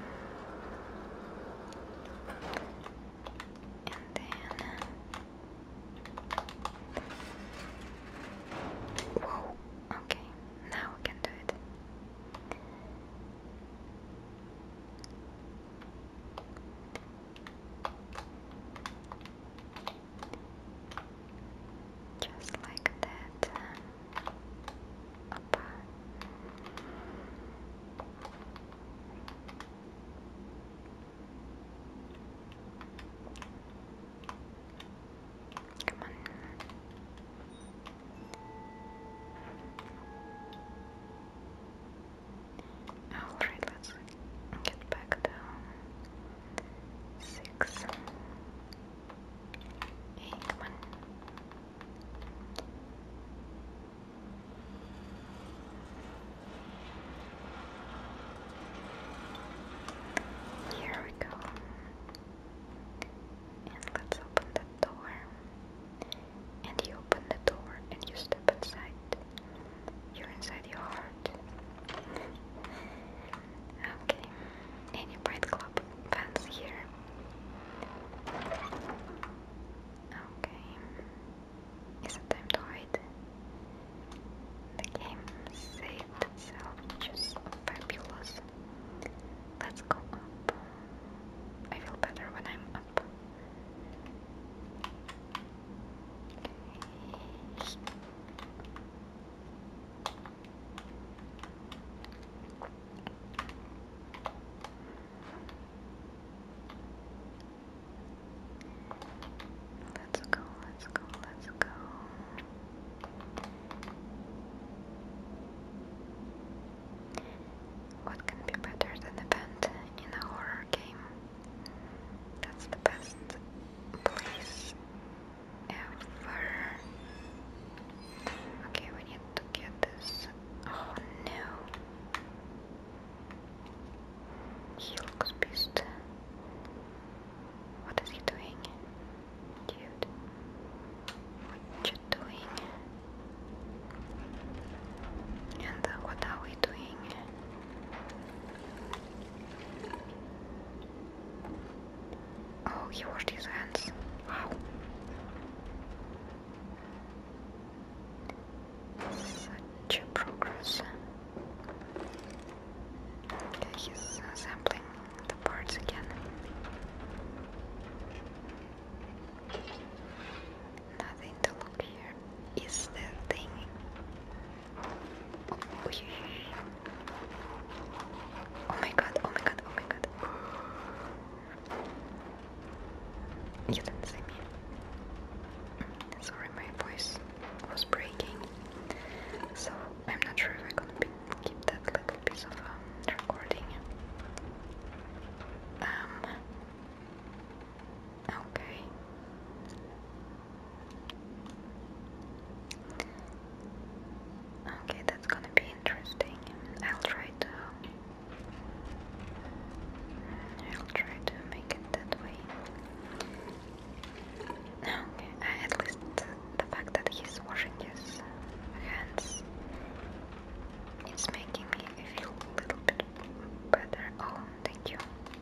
And then. Whoa, okay, now we can do it. Just like that. Come on. Alright, let's get back down. Six. come on. Here we go. And let's open the door. And you open the door and you step inside. You're inside your heart. okay. Any Pride Club fans here? Okay. Is it time to hide? The game saved itself, which fabulous. Let's go up. I feel better when I'm up. Let's go, let's go, let's go. What can be better than a vent in a horror game? That's the best place ever. Okay, we need to get this. Oh no. He looks pissed. What is he doing? Dude. What you doing? And uh, what are we doing? Oh, he washed his hands. Wow. Such progress. he's uh, the parts again. Nothing to look here. Is the thing Oh, my god, oh my god, oh my god. You didn't see me. Sorry, my voice was breaking. So I'm not sure if I'm gonna keep that little piece of um, recording. Um, Okay. Okay, that's gonna be interesting. I'll try to. I'll try to make it that way. Okay, at least the fact that he's washing his hands it's making me feel a little bit better. Oh, thank you.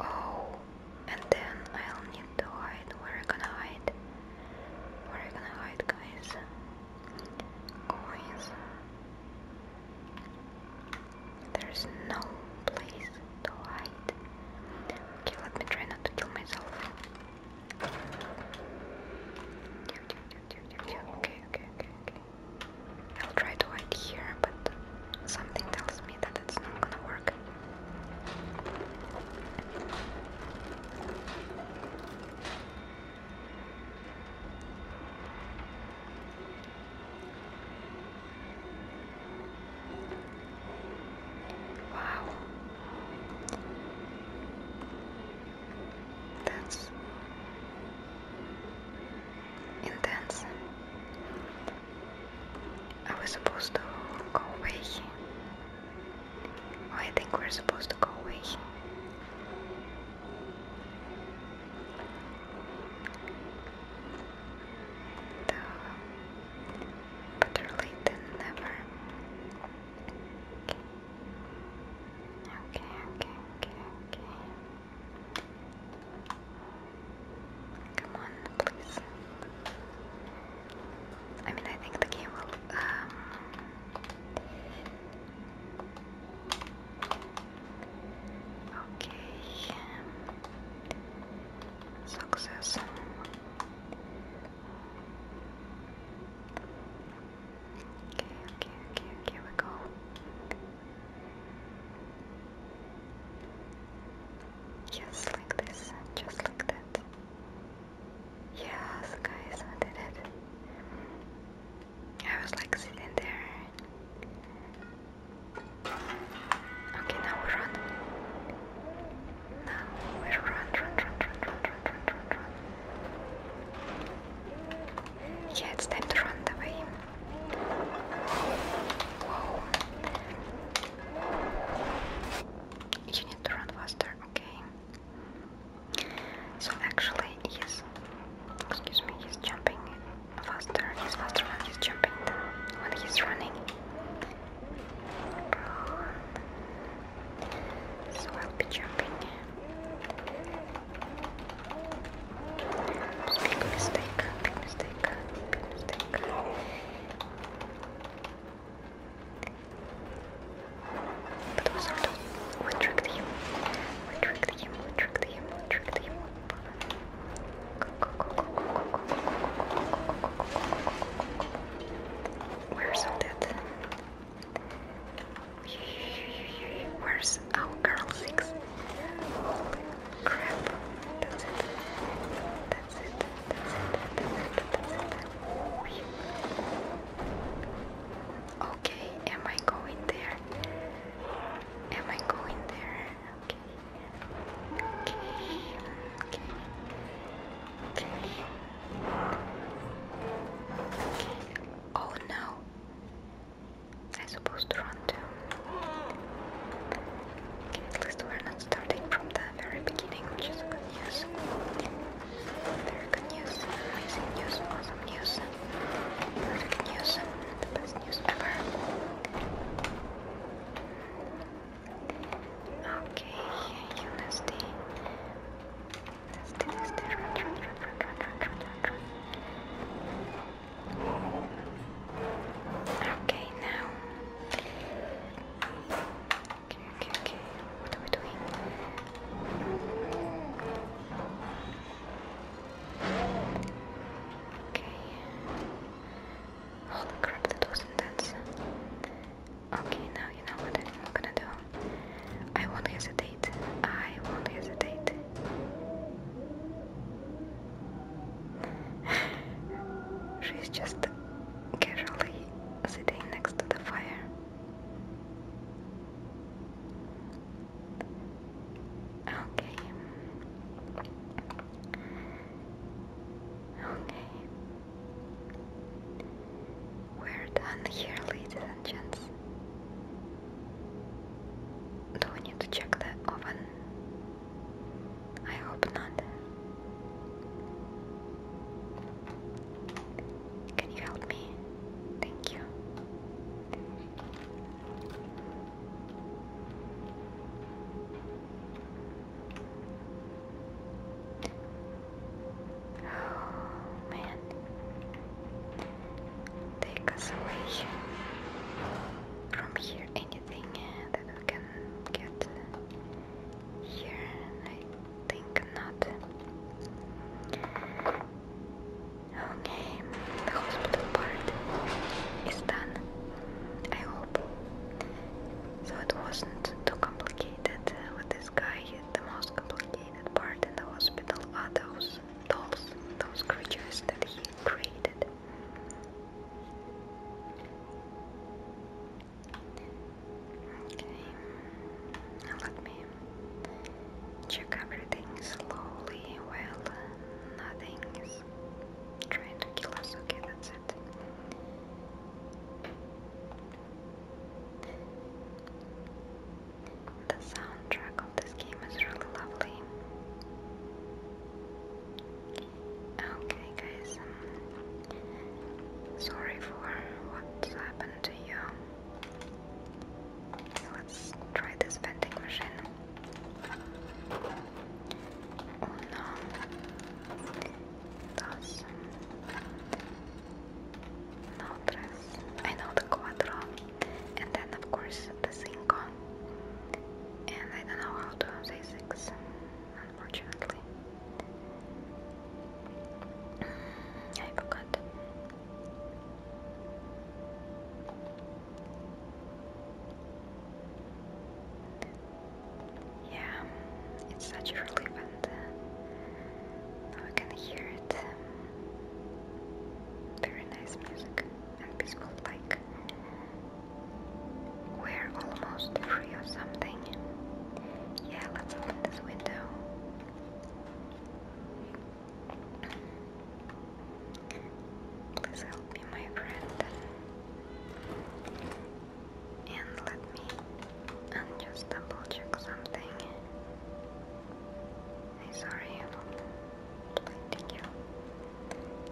Oh, and then I'll need to hide. Where are you gonna hide? Where are you gonna hide, guys? Coins. There's no place to hide. Okay, let me try not to kill myself. okay, okay, okay, okay. I'll try to hide here, but something tells me that it's not gonna work. Wow. That's intense. Are we supposed to go away? Oh, I think we're supposed to go away. The better late than never. okay, okay, okay, okay. Come on, please. I mean, I think the game will. Um, okay. Success. Okay, okay, okay, okay, we go. Yes, like this, and just like that. Yes, guys, I did it. I was like sitting there. Okay, now we run. Now we run, run, run, run, run, run, run, run, run. Yeah, it's time to run away. Whoa. You need to run faster, okay. So actually he's excuse me, he's jumping faster. He's faster when he's jumping than when he's running. So I'll be jumping. Big mistake, big mistake, big mistake. But was sort of, we tricked him, we tricked him, we tricked him, we tricked him. Where's all that? Where's our girl six? Okay, am I going there? Am I going there? Okay. Okay. Okay. Okay. Oh no. I supposed to run to. at least we're not starting from the very beginning, which is good news. Very good news, amazing news, awesome news, perfect news, the best news ever. Okay, you nasty. Nasty, nasty, run, run, Okay, now. Okay, okay, okay. What are we doing? Okay. Holy crap, that was intense. Okay, now you know what I'm gonna do. I won't hesitate. I won't hesitate. She's just casually sitting next to the fire. Okay. Okay. We're done here, ladies and gents. Do I need to check the oven? I hope not. Can you help me? Thank you. Oh man take us away from here. Anything uh, that we can get here? I think not. Okay, the hospital part is done. I hope. So it wasn't too complicated uh, with this guy. The most complicated part in the hospital are dolls, those creatures that he created. Okay, let me check everything slowly. Well, nothing is trying to kill us. Okay, that's it. The soundtrack of this game is really lovely. Okay, guys, um, sorry for what's happened to you. Let's try this vending machine. Oh dos, tres. Um, I cuatro and then of course the cinco, and I don't know how to say six, unfortunately. I forgot. Yeah, it's such a relief and uh, now I can hear it. Very nice music and peaceful, like we're almost free or something. Yeah, let's open this window. Please help me, my friend. And let me and just double check something. I'm sorry I'm not you.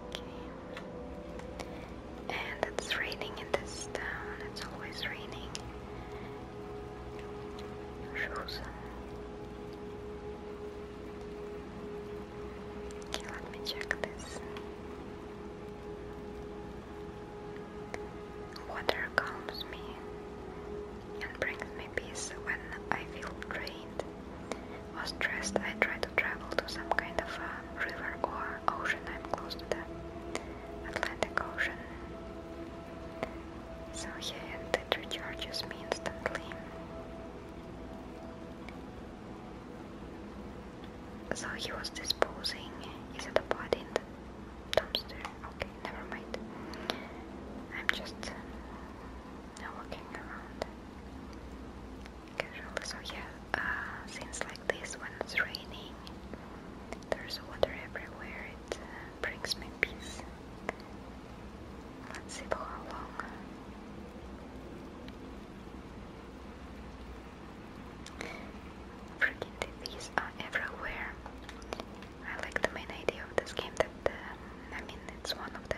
Okay. And it's raining in this town, it's always raining. Shoes. Okay, let me check this. Water calms me and brings me peace when I feel drained was stressed, I try to travel to some kind of a river or ocean. I'm close to the Atlantic Ocean. So yeah, and it recharges me instantly. So he was disposing. Is it a body in the dumpster? Okay, never mind. I'm just uh, now around. Casual. So yeah, uh, like this when it's raining, there's water everywhere. It uh, brings me peace. Let's see for how long. Freaking TVs everywhere. I like the main idea of this game that, um, I mean, it's one of the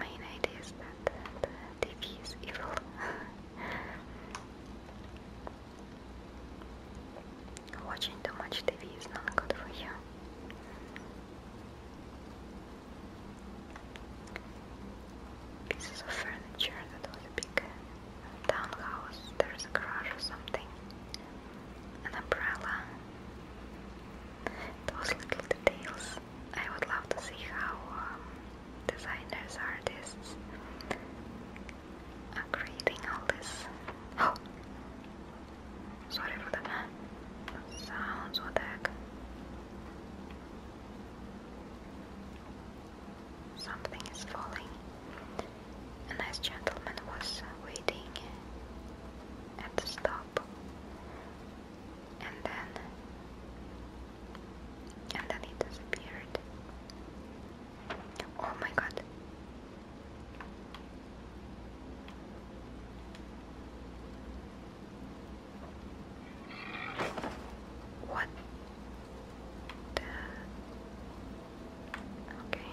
main idea is that TV is evil. Watching much TV is not good you. Pieces of furniture that was a big townhouse, there's a garage or something an umbrella. Those little details. I would love to see how um, designers, artists are creating all this. Oh! Sorry for the sounds, what the Something is falling. A nice gentleman was waiting and stop and then and then it disappeared. Oh my god. What Okay.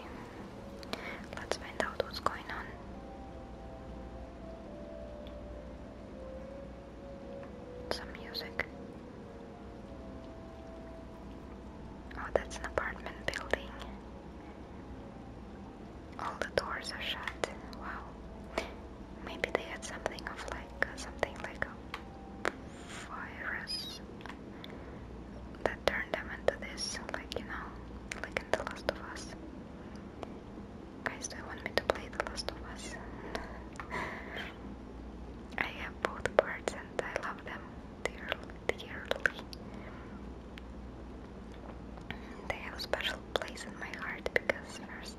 Let's find out what's going on. Some music. Oh, that's an apartment building. All the doors are shut. Wow. Maybe they had something of like uh, something like a virus that them into this, like you know, like in The Last of Us. Guys, do you want me to play The Last of Us? I have both parts and I love them dearly. dearly. They have a special place in my heart because first,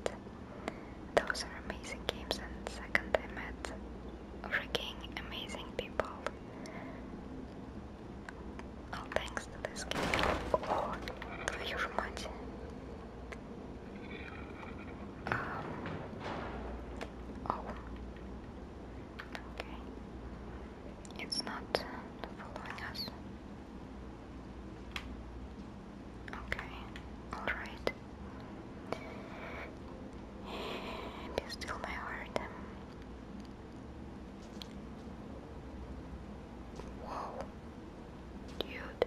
those are amazing games, and second, I met freaking amazing people. О, oh, thanks to this. О, твою же мать. Um, oh. Okay. It's not following us. Okay, alright. Be still my heart. Wow. Cute.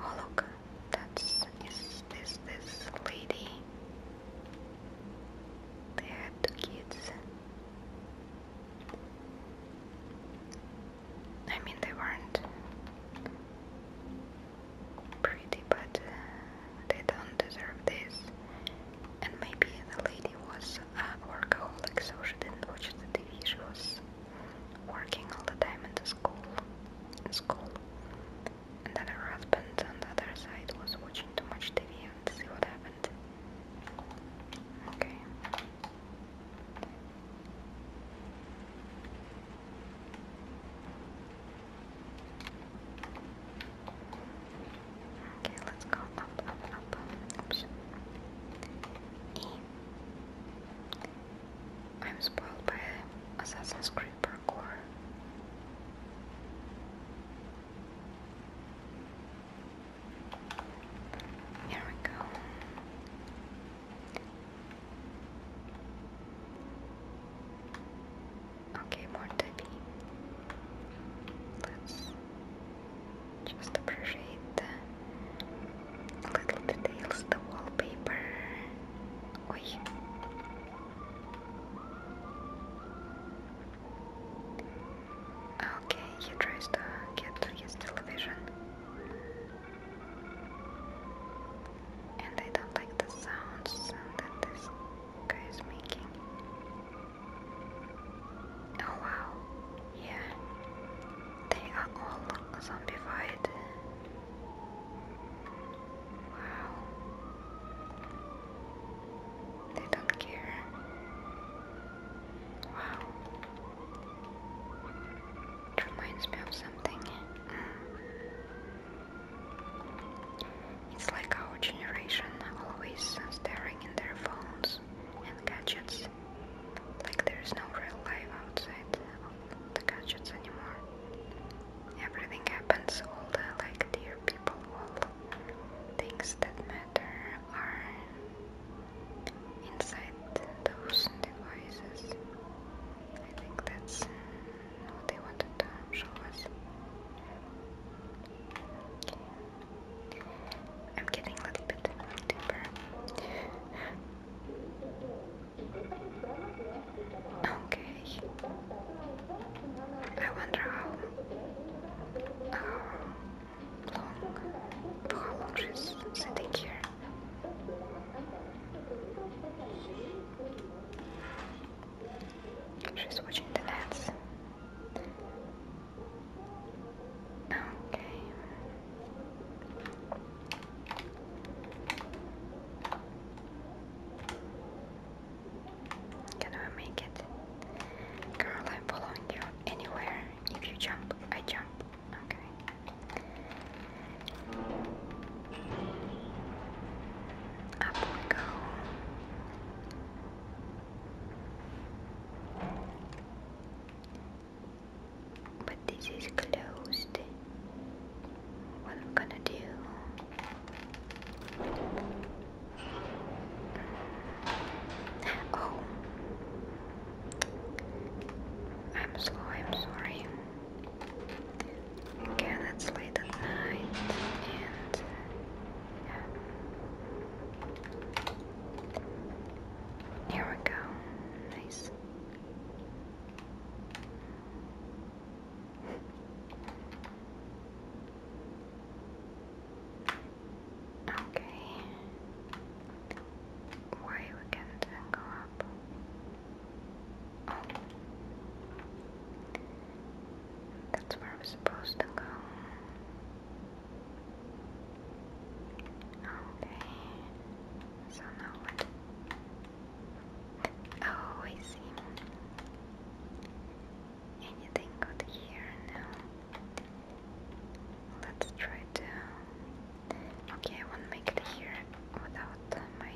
Oh look, that's is this this lady. They had two kids. I mean, they weren't pretty, but uh, they don't deserve this. And maybe the lady was a workaholic, so she didn't watch the TV. She was working all the time in the school, in school. And then her husband on the other side was watching too much TV and see what happened. Okay. Okay, let's go up, up, up. Oops. E. I'm spoiled by Assassin's Creed parkour. Here we go. Okay, more tabby. Let's just appreciate the little details, the wallpaper. Okay, he tries to get to his television. And I don't like the sounds that this guy making. Oh wow, yeah, they are all zombified. Wow, they don't care. Wow, reminds me of something. Mm. It's like our generation always staring in their phones and gadgets. Like there's no real life outside of the gadgets anymore. Everything happens, all the like dear people, all things that matter are inside those devices. I think that's what do you to show us? I'm getting a little bit deeper. Okay. I wonder how, how long, for how long she's sitting here. She's watching the ads. Okay. Can I make it? Girl, I'm following you anywhere. If you jump, I jump. Okay. Up we go. But this is closed. What I'm gonna do? Oh, I'm slow. I'm sorry. Again, it's late at night and yeah. Here we go. Nice. Okay. Why we can't go up? Oh. That's where I'm supposed to go. Okay. So now what? Oh, I see. Anything good here? No. Let's try to. Okay, I won't make it here without my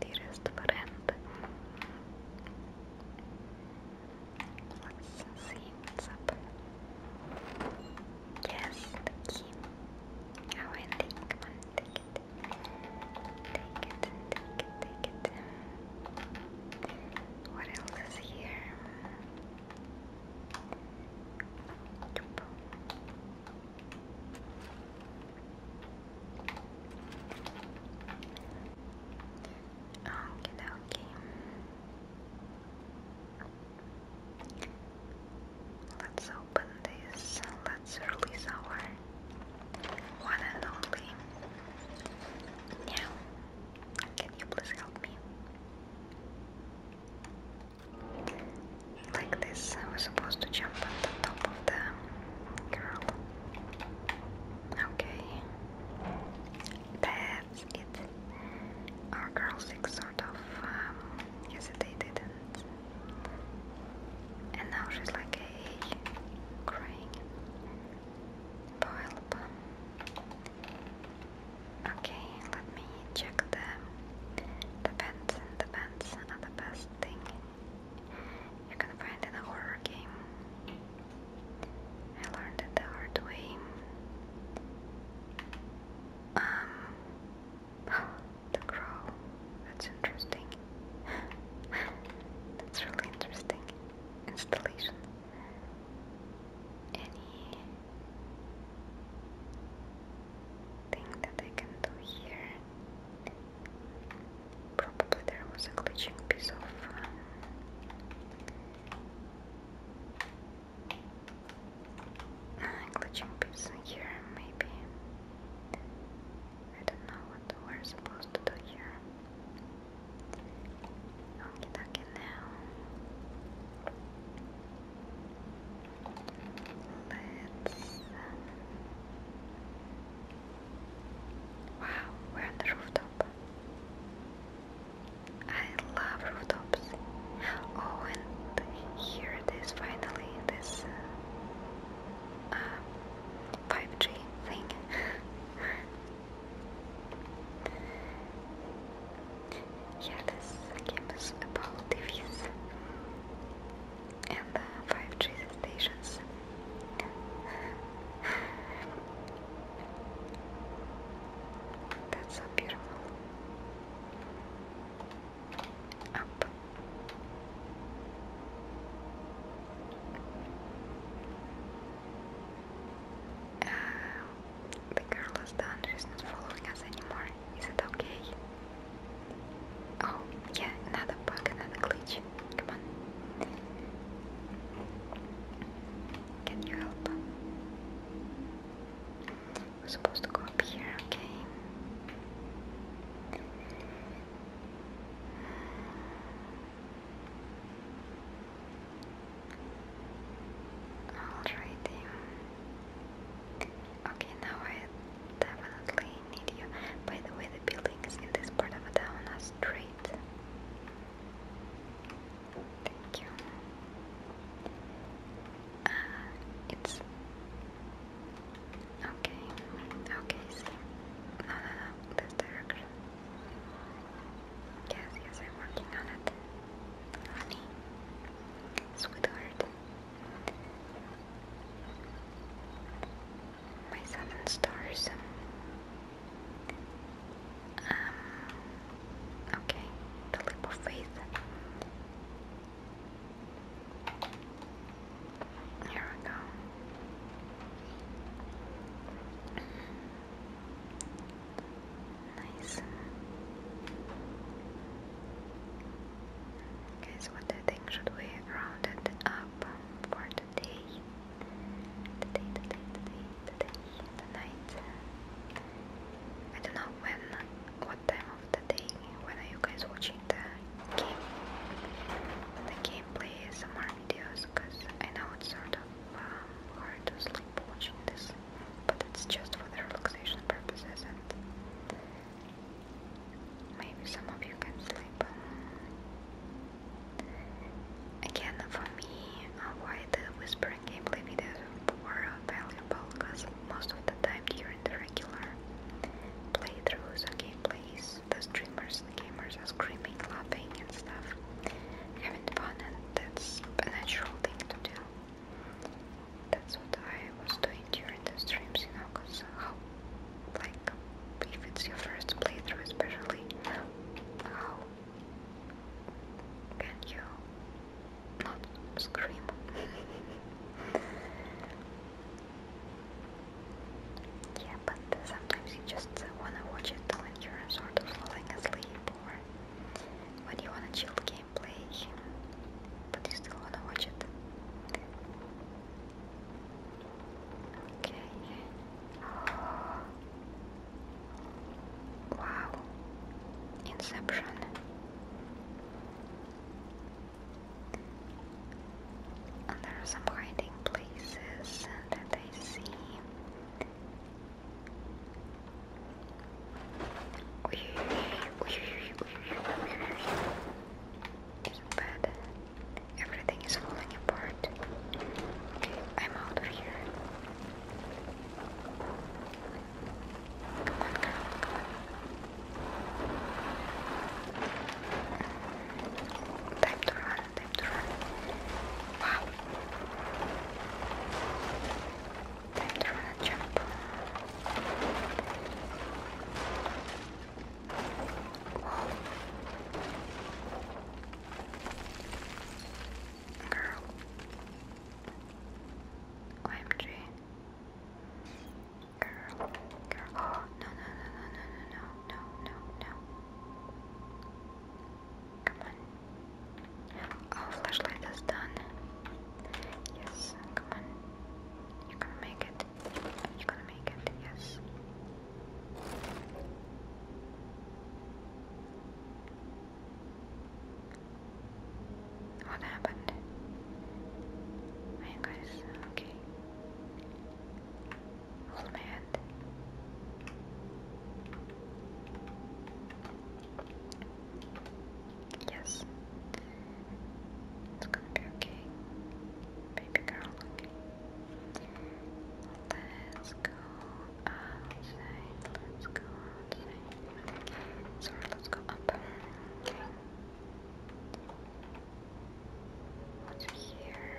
dearest friend. Let's see what's up. Yes, the key. Oh, and take, come take it. Take it, take it, take it. What else is here? Okie dokie. Let's open this. Let's release our one and only. Now, can you please help me? Like this, I was supposed to jump on the top of the girl. Okay. That's it. Our girl six sort of um, hesitated and and now she's like hey crying for Okay, let me check the the pants. The pants are the best thing you can find in a horror game. I learned it the hard way. Um, the crow. That's interesting. That's really interesting. Installation. Any thing that I can do here. Probably there was a glitching piece of uh, glitching piece here, maybe. I don't know what we're supposed to do here. Okay, okay, now. Let's. Um, Wow, we're on the rooftop. I love rooftops. Oh, and here it is finally this 5G uh, uh, thing. yeah, this game is about TVs and uh, 5G stations. That's so beautiful. Uh, the girl is done, she's not following us anymore. Is it okay? Oh, yeah, another bug, another glitch. Come on. Can you help? We're supposed to go up here, okay? Alrighty. Okay, now I definitely need you. By the way, the buildings in this part of town are straight. Thank you. Uh, it's okay. Okay, see. No, no, uh, no. This direction. Yes, yes, I'm working on it. Honey, sweetheart. My seven stars. Um, okay, the faith. Here we go. Nice. Okay, so what do you think? Should we round it up for the today, today, today, today, today, tonight. I don't know when, what time of the day, when are you guys watching the game, the gameplay, some videos, because I know it's sort of um, hard to sleep watching this, but it's just for the relaxation purposes and maybe some of you can sleep. Again, for me, why the whispering gameplay videos were valuable, because most of the time during the regular playthroughs or gameplays, the streamers and gamers are screaming, laughing and stuff, having fun, and that's a natural thing to do. That's what I was doing during the streams, you know, because how, like, if it's your first playthrough especially, how can you not scream? yeah, but sometimes you just wanna watch it when you're sort of falling asleep or when you wanna chill gameplay, but you still wanna watch it. Okay. Wow. Inception. And there are some hiding places that I see. It's bad. Everything is falling apart. I'm out of here. Come on, come on. Time to run, time to run. Wow. Time to run jump. Girl. OMG. Girl. Girl. Oh, no, no, no, no, no, no, no, no, no. Come on. Oh, flashlight is done. Yes, come on. You're gonna make it. You're gonna make it, yes. What happened? Are guys okay? Hold my hand. Yes. It's gonna be okay. Baby girl, okay. Let's go outside. Let's go outside. Sorry, let's go up. Okay. here?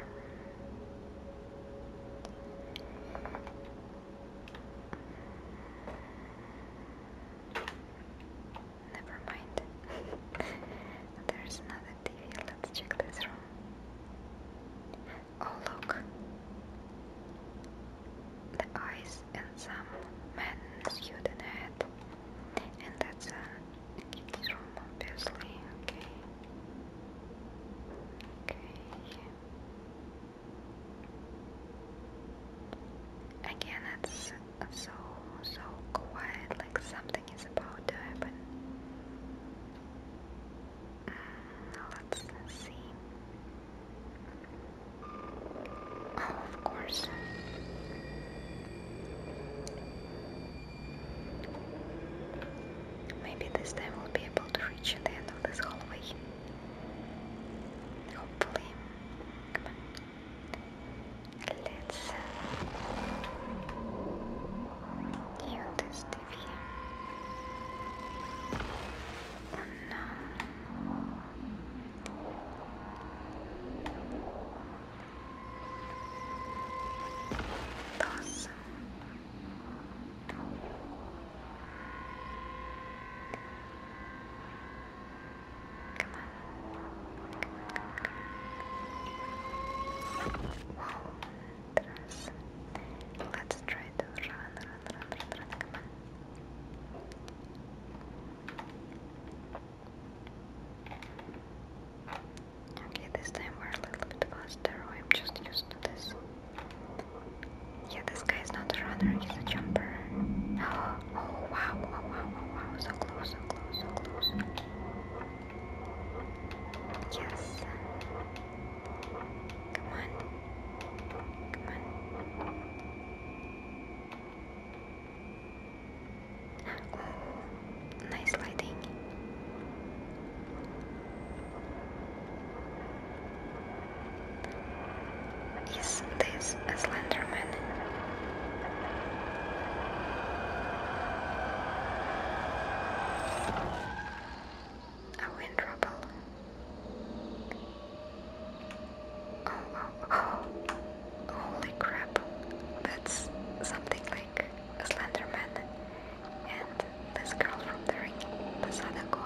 Never mind. There's another TV. Let's check this room. Oh look, the eyes and some man's suit and and that's a kid's room, obviously. Okay, okay. Again, it's so so quiet, like something is about to happen. Let's, see. Oh, of course. Maybe this time we'll be able to reach the end of this hallway. Hopefully. Let's uh, this Oh no. Dos. Come on. Oh Let's try to run, run, run, run, run, come Okay, this time we're a little bit faster. I'm just used to this. Yeah, this guy is not a runner, he's a jumper. Oh, oh wow, wow, wow, wow, wow, so close, so close, so close. Yes. Come on. Come on. Oh, nice lighting. Is this a Slenderman? Are we in trouble? Oh, oh, oh, Holy crap. That's something like a Slenderman. And this girl from the ring, Sadako.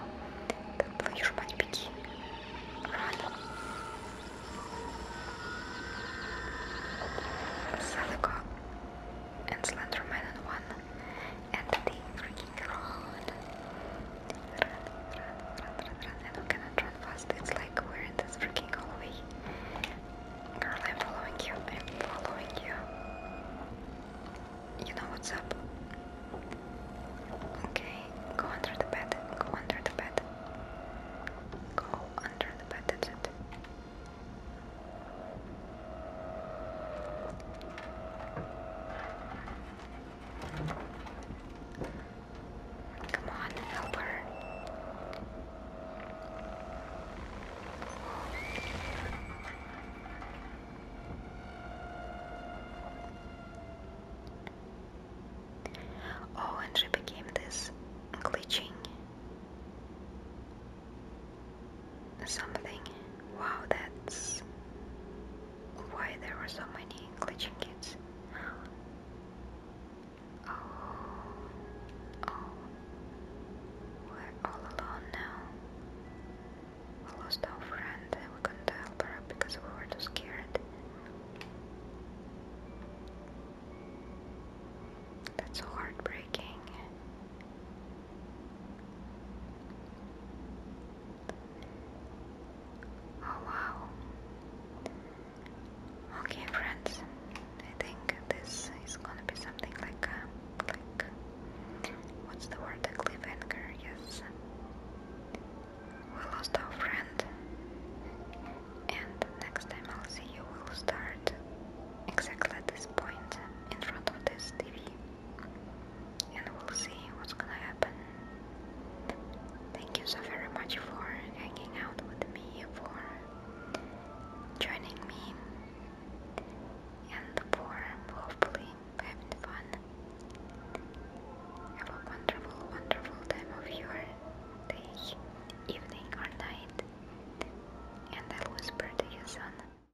Ты плывешь по реке. Sadako and Slenderman in one, and the freaking road. Run, run, run, run, run, and we cannot run fast, it's like we're in this freaking hallway. Girl, I'm following you, I'm following you. You know what's up. Okay, go under the bed, go under the bed. Go under the bed, that's it. Come on, help her. Oh, and she became this glitching something. Wow, that's why there were so many glitching kids. Oh, oh, we're all alone now. lost our friend we couldn't help her because we were too scared. That's so heartbreaking. Oh wow. Okay friends, I think this is gonna be something like uh, like what's the word? A cliffhanger, yes. We lost our friend and next time I'll see you will start exactly at this point in front of this TV and we'll see what's gonna happen. Thank you so very much for hanging out with me, for joining me, and for hopefully having fun. Have a wonderful, wonderful time of your day, evening, or night, and I'll whisper to you